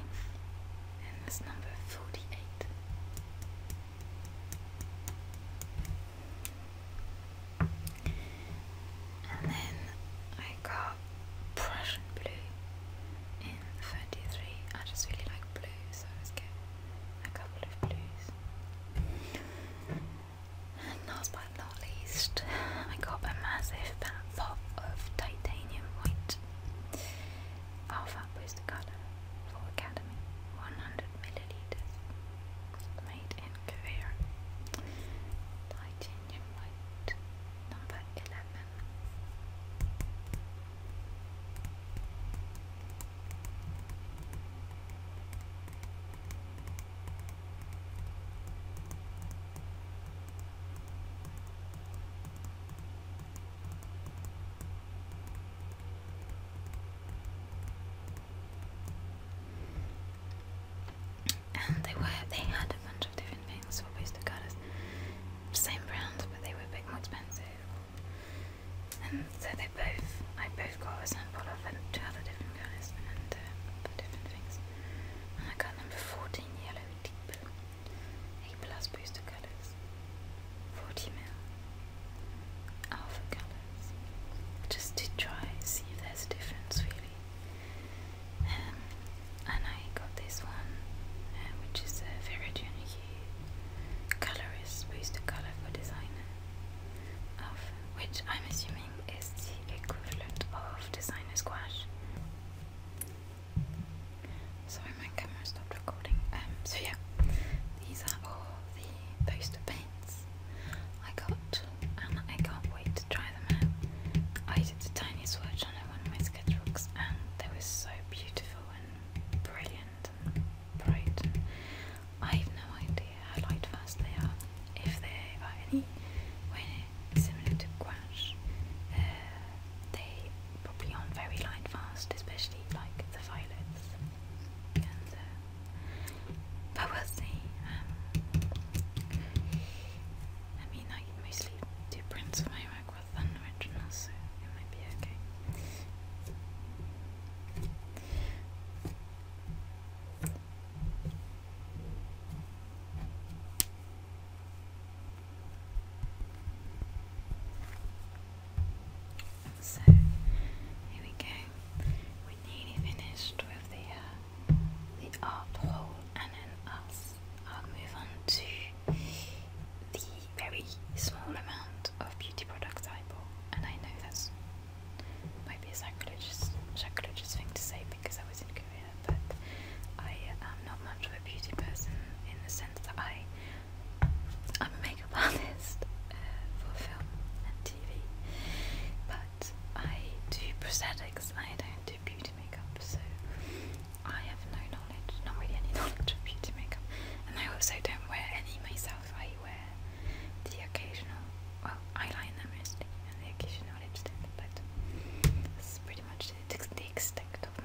A: and that's number 48. And then I got Prussian blue in 33. I just really like blue, so I was getting a couple of blues. And last but not least, I got a massive pack pop of titanium white. Alpha is the color for Academy 100 milliliters. Made in Korea. Titanium white number 11. And [LAUGHS] they were they had a bunch of different things for base cicadas. Same brand, but they were a bit more expensive. And so they both I both got a sample of and two other different colours and uh, different things. And I got number fourteen yellow deep blue. A plus booster colours, mil alpha colours, just to try see if there's a difference really. Um, and I got this one, uh, which is a Viridian Hue Colorist Booster Colour for Designer which I'm assuming is the equivalent of Designer Squash. Sorry, my camera stopped recording. Um, so yeah, these are all the poster paints I got, and I can't wait to try them out. I did a tiny swatch on one of my sketchbooks, and they were so beautiful and brilliant and bright. I have no idea how light fast they are, if they are any way similar to gouache they probably aren't very light fast, especially like the violets. Uh, but we'll see. Um, I mean, I mostly do prints of my work with originals, so it might be okay. So here we go. We're nearly finished with the uh, the art hole, and then us. I'll move on to the very small amount of beauty products I bought, and I know that's might be a sacrilegious sacrilegious thing to say because I was in Korea but I am not much of a beauty person in the sense that I I'm a makeup [LAUGHS] artist uh, for film and TV, but I do prosthetics. I don't do beauty makeup, so I have no knowledge, not really any [LAUGHS] knowledge of beauty makeup, and I also don't wear any myself. I wear the occasional, well, eyeliner mostly, and the occasional lipstick, but that's pretty much the, extent of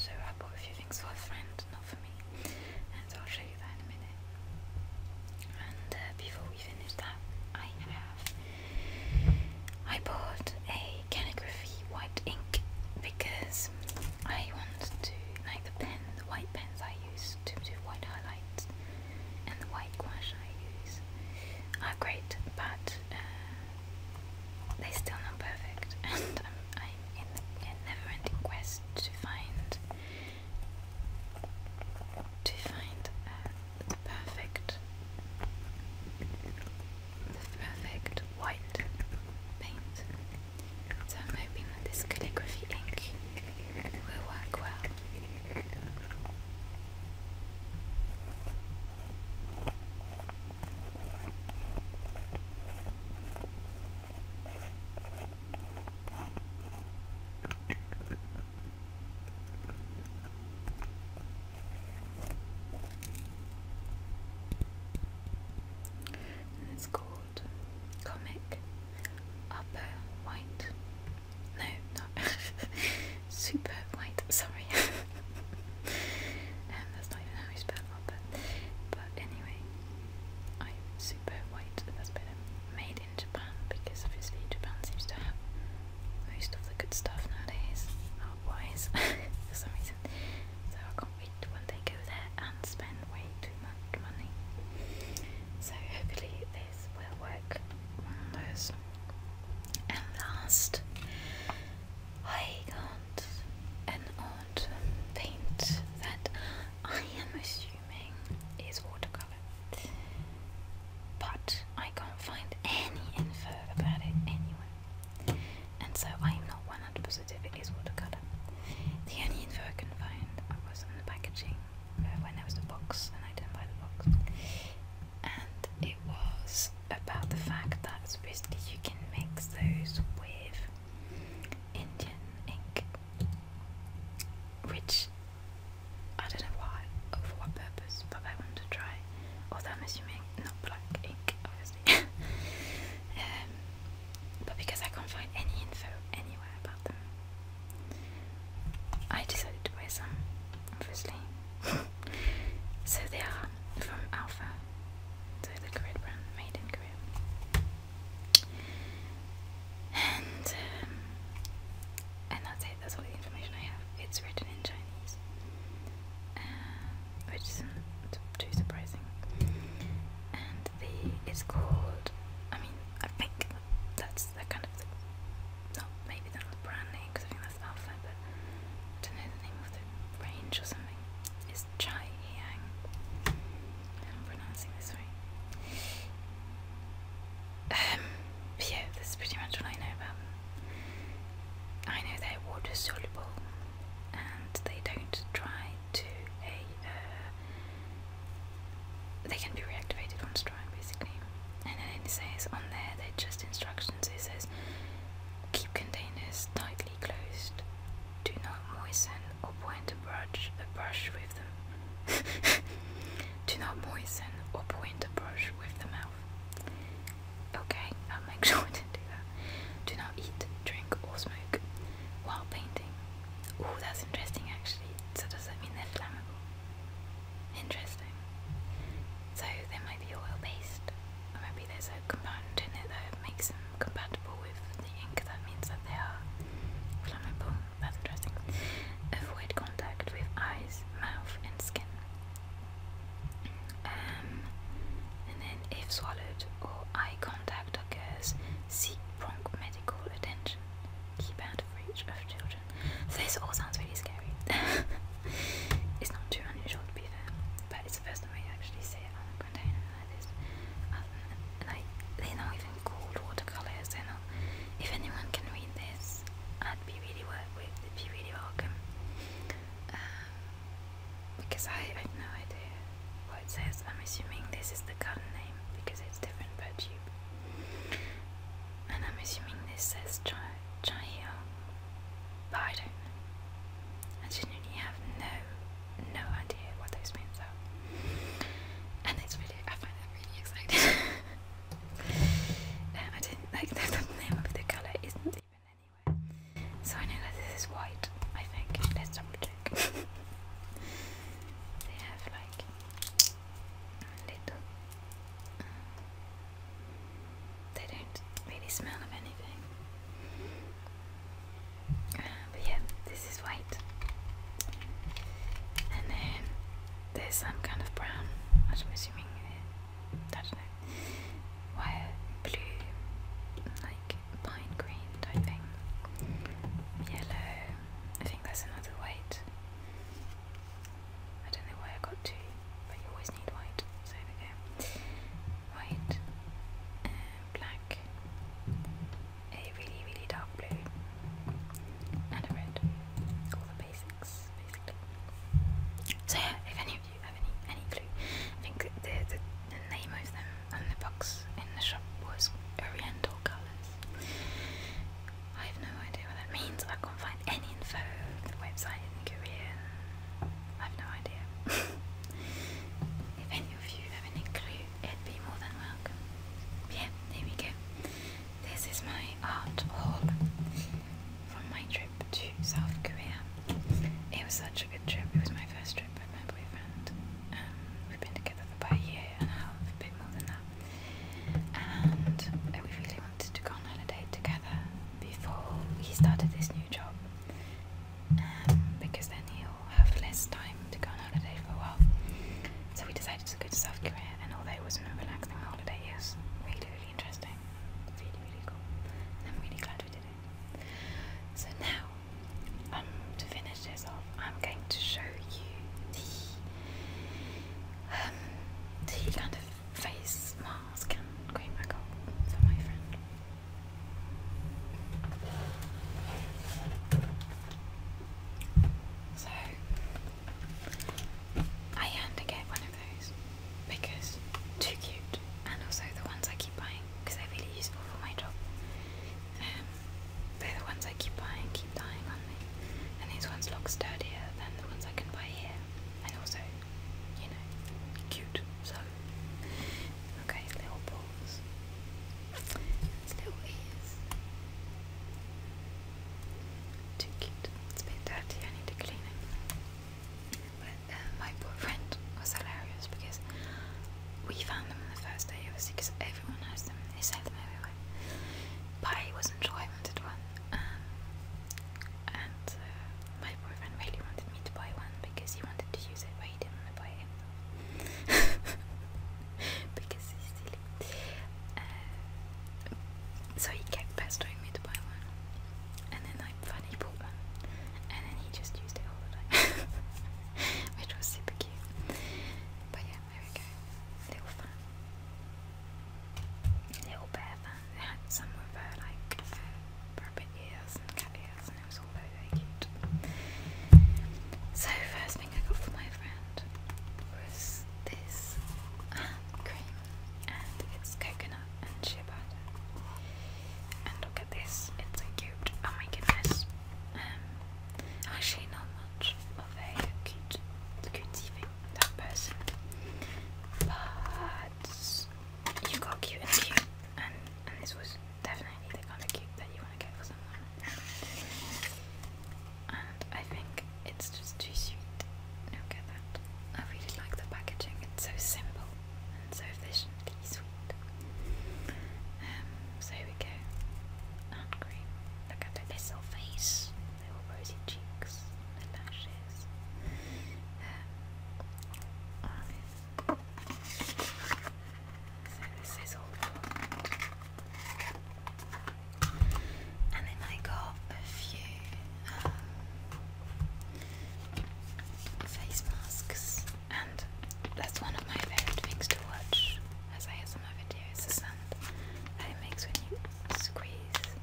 A: so I bought a few things for a friend, not for me, and I'll show you that in a minute. And uh, before we finish that, I have I bought a calligraphy white ink because I want to like the pen, the white pens I use to do white highlights and the white gouache I use are great, but uh, they're still not perfect, [LAUGHS] and I'm, in a never-ending quest to find to find uh, the perfect the perfect white paint. So i this calligraphy ink will work well it's called Comic Upper White. No, not [LAUGHS] Super White, sorry. [LAUGHS] and that's not how you spell Albert. But anyway, I super white. That's better. Made in Japan because obviously Japan seems to have most of the good stuff nowadays, art-wise, [LAUGHS] for some reason. So I can't wait to go there and spend way too much money. So hopefully this will work wonders. And last, I can't an odd paint that I am assuming is watercolor. But I can't find any info about it anywhere. And so I'm not 100% if it is watercolor. The only info I can find was on the packaging uh, when there was the box and I didn't buy the box. And it was about the fact that supposedly you can mix those with Indian ink, which I don't know why or for what purpose, but I want to try. Although assuming not black ink, obviously. [LAUGHS] Um, but because I can't find any info anywhere about them, I decided to buy some, obviously. [LAUGHS] So they are from Alpha, so the Korean brand made in Korea. And um, and that's it. That's all the information I have. It's written in Chinese, uh, which is too surprising. And the it's called. I mean, I think that's the kind of the. maybe not brand name because I think that's Alpha, don't know the name of the range or something. It's Chai Yang. I'm pronouncing this right. Um, yeah, that's pretty much what I know about I know they're water soluble and they don't dry to a. Uh, they can be reactivated once dry, basically. And then it says on there, they're just instructions. It says keep containers tightly closed. Do not moisten or point a brush, a brush with them. [LAUGHS] Do not moisten or point a brush with the mouth. Okay, I'll make [LAUGHS] sure to do that. Do not eat, drink, or smoke while painting. Oh, that's interesting actually. So, does that mean they're flammable? Interesting. So, they might be oil based, or maybe there's a component in it that makes them compatible with the ink. That means that they are flammable. That's interesting. Avoid contact with eyes, mouth, and skin. Um, and then, if swallowed or eye contact occurs, seek prompt medical attention. Keep out of reach of children. this all sounds really scary. [LAUGHS] it's not too unusual to be fair, but it's the first time I actually see it on a container like this. Um, like they're even called watercolors. They're If anyone can read this, I'd be really with. really welcome. Um, because I, have no idea what it says. I'm assuming this is the garden name because it's different per tube. And I'm assuming this says Chai Chai but I don't I genuinely have no, no idea what those means are. And it's really, I find it really exciting. [LAUGHS] Uh, I didn't like [LAUGHS] the name of the colour isn't even anywhere. So I know that this is white, I think. Let's double check. [LAUGHS] they have like little. Uh, they don't really smell of anything. Uh, but yeah, this is white. And then there's some kind of brown, I'm assuming, uh, I don't know, wire blue, like pine green type thing. Yellow, I think that's another white. I don't know why I got two, but you always need white, White, uh, black, a really really dark blue, and red. All the basics, basically. So yeah, if any of you have any any clue, I think the the, name of them and the box in the shop was Oriental Colors. I have no idea what that means. I can't find any info. The website in Korean. I've no idea. if any of you have any clue, it'd be more than welcome. Yeah, there we go. This is my art haul from my trip to South Korea. It was such a good trip. It was my first trip with my boyfriend. Um, we've been together for about a year and a half, a bit more than that. And we really wanted to go on holiday together before he started this new job because then he'll have less time to go on holiday for a while. So we decided to go to South Korea, and although it wasn't a relaxing holiday, it was really, really interesting, really, really cool, and I'm really glad we did it. So now, um, to finish this off, I'm going to show you the, um, the kind of face mask and cream I my friend. So, I had to get one of those because too cute, and also the ones I keep buying because they're really useful for my job. Um, they're the ones I keep buying, keep dying on me, and these ones look sturdier than the ones I can buy here, and also, you know, cute. So Okay, little paws. It's little ears. Too cute. It's a bit dirty, I need to clean it. But uh, my boyfriend was hilarious because we found them on the first day, obviously, because everyone has them. They sell them everywhere. But I wasn't sure I wanted one. Um, and uh, my boyfriend really wanted me to buy one because he wanted to use it, but he didn't want to buy it [LAUGHS] because he's silly. Uh, so he kept pestering me to buy one. And then I finally bought one. And then he just used it all the time. [LAUGHS] Which was super cute. But yeah, there we go. Little fan. Little bear fan. some with uh, like uh, rabbit ears and cat ears and it was so, first thing I got from my friend was this um, cream, and it's coconut and shea butter. And look at this, it's so cute. Oh my goodness. Um, actually, not much of a cute, cutie thing, that person. But you got cute and cute, and this was definitely the kind of cute that you want to get for someone. and I think it's just too sweet. No, get that. I really like the packaging. It's so simple and so efficiently sweet. Um, so here we go. And green. Look at her little face. Little rosy cheeks. The lashes. Um, and then I got a few um, face masks, and that's one of my favorite things to watch as I have some other videos, the sound that it makes when you squeeze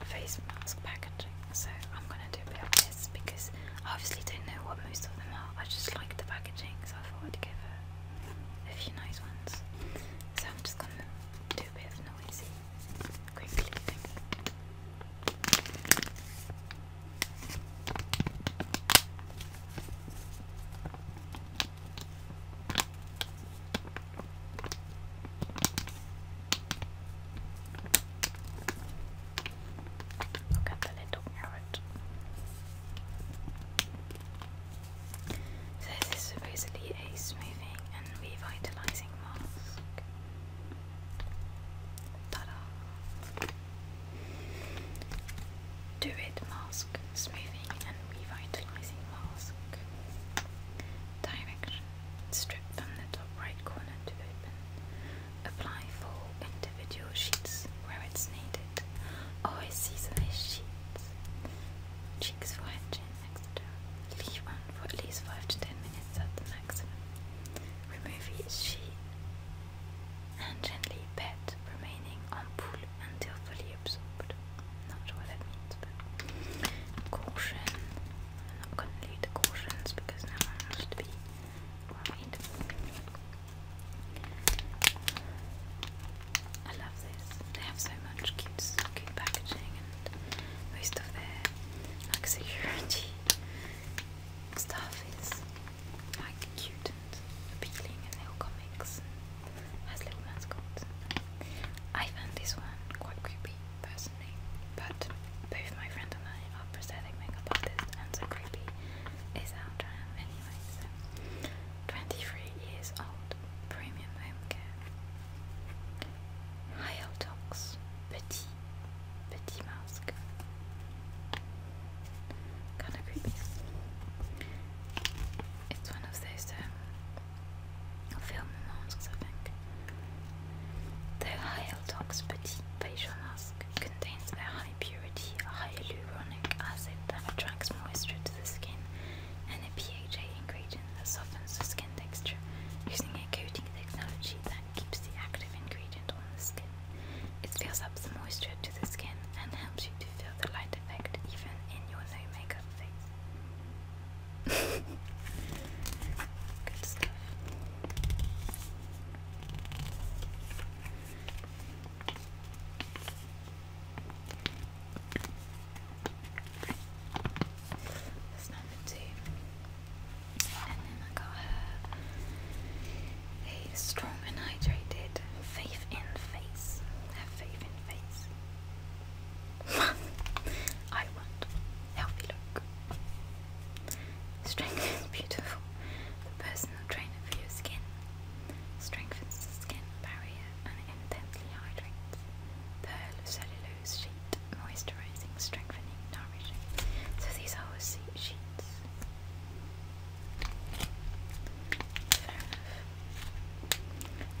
A: a face mask back packaging. So I'm gonna do a bit of this because I obviously don't know what most of them are. I just like the packaging, so I thought I'd give a, a few nice ones. So I'm just gonna do a bit of noisy crinkly Look at the little parrot. this is supposedly a smoothing and revitalizing mask. Ta-da! Druid mask, smoothing and revitalizing mask. Direction: strip from the top right corner to open apply for individual sheets where it's needed, or seasonless sheets. Cheeks for head, chin, etc. Leave on for at least 5 to 10 minutes at the maximum. Remove each sheet and gently pat, remaining on pull until fully absorbed. Not sure what that means, but caution. I'm not going to leave the cautions because now I have to be I love this. They have so much cute, cute packaging and most of their like security [LAUGHS] stuff is like cute and appealing and little comics and has little mascots. I found this one quite creepy personally, but both my friend and I are prosthetic makeup artists and so creepy is our anyway, 23 years old, premium home care. Hyotox, petit, petit mask. Kinda creepy. It's one of those um, film masks, I think. The Hyotox Petit facial mask contains a high purity hyaluronic acid that attracts moisture to the skin, and a PHA ingredient that softens the skin texture using a coating technology that keeps the active ingredient on the skin. It fills up the moisture to the skin and helps you to feel the light effect even in your no makeup face. [LAUGHS] Good stuff. That's number two. And then I got a strong and hydrated faith in face. Have faith in face. [LAUGHS] I want healthy look. Strength beautiful. personal trainer for your skin strengthens skin barrier and intensely hydrates. Pearl cellulose sheet, moisturizing, strengthening, nourishing. So these are all sheets. Fair enough.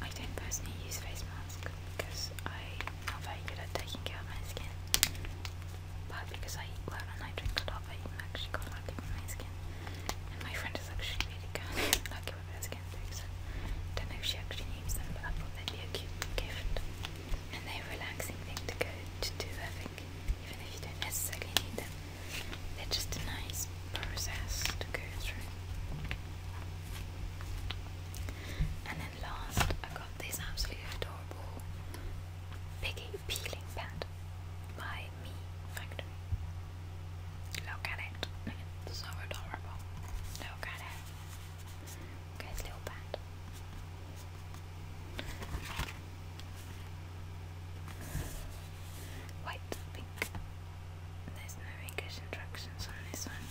A: I don't personally use face masks because I'm not good at taking care of my skin. But because I eat well and I drink a lot, i actually quite lucky with my skin. And my friend is actually really good [LAUGHS] lucky with her skin too, don't know if she actually needs them, but I thought they'd be a cute gift. And they're a relaxing thing to go to do, I think, even if you don't necessarily need them. They're just a nice process to go through. And then last, I got this absolutely adorable piggy peeling pad by Me Look at it. so adorable. Look at it. Okay, little pad. White, pink. There's no English instructions on this one.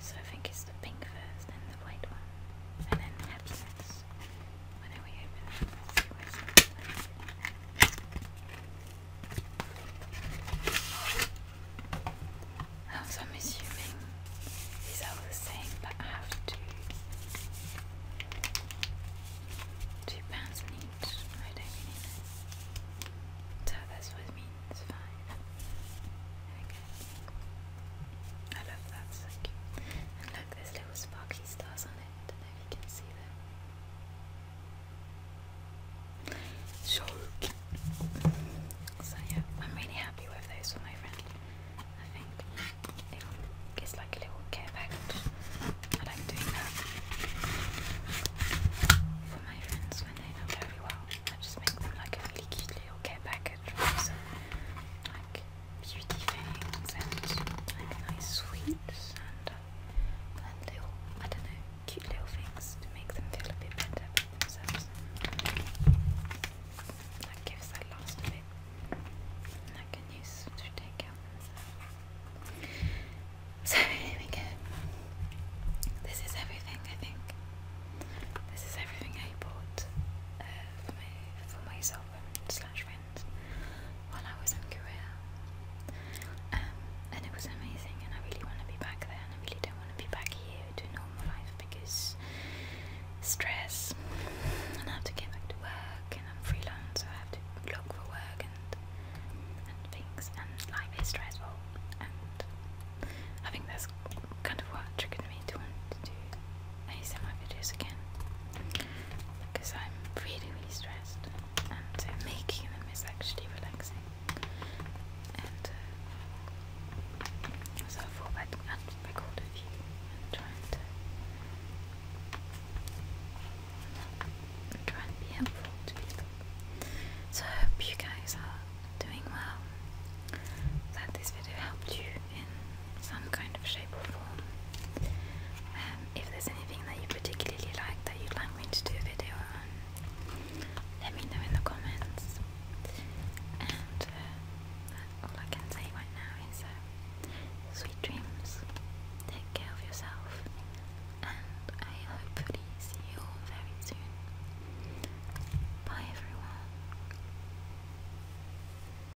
A: So I think it's the pink first, then the white one, and then happiness. I so I'm assuming these are all the same, but I have to two pounds each. I don't really know. So that's what means, fine. There I love that, so cute look, there's little sparkly stars on it. Don't know if you can see them. So, yeah, I'm really happy with those for my friend. I think it like a little care package. I like doing that for my friends when they're very well. I just make them like a really cute little care package beauty things and like nice sweets and, uh, and little, I don't know, cute little things to make them feel a bit better about themselves. That gives that last a bit. And I can use to take out myself. So [LAUGHS] here we go. This is everything I think. This is everything I bought uh, for, my, for myself and slash friend friends while I was in Korea. Um, and it was amazing, and I really want to be back there, and I really don't want to be back here to normal life because stress, and I have to get back to work, and I'm freelance, so I have to look for work and and things, and life is stressful, and I think that's kind of what triggered me to want to do ASMR videos again because I'm really, really stressed, and making them is actually relaxing. And uh, so I thought I'd, I'd record and try and, uh, try and be helpful So I hope you guys are doing well. That this video helped you in some kind of shape or form. Um, if there's anything that you particularly like that you'd like me to do a video on, let me know in the comments. And uh, that's all I can say right now is uh, sweet dreams, take care of yourself, and I hopefully see you all very soon. Bye everyone.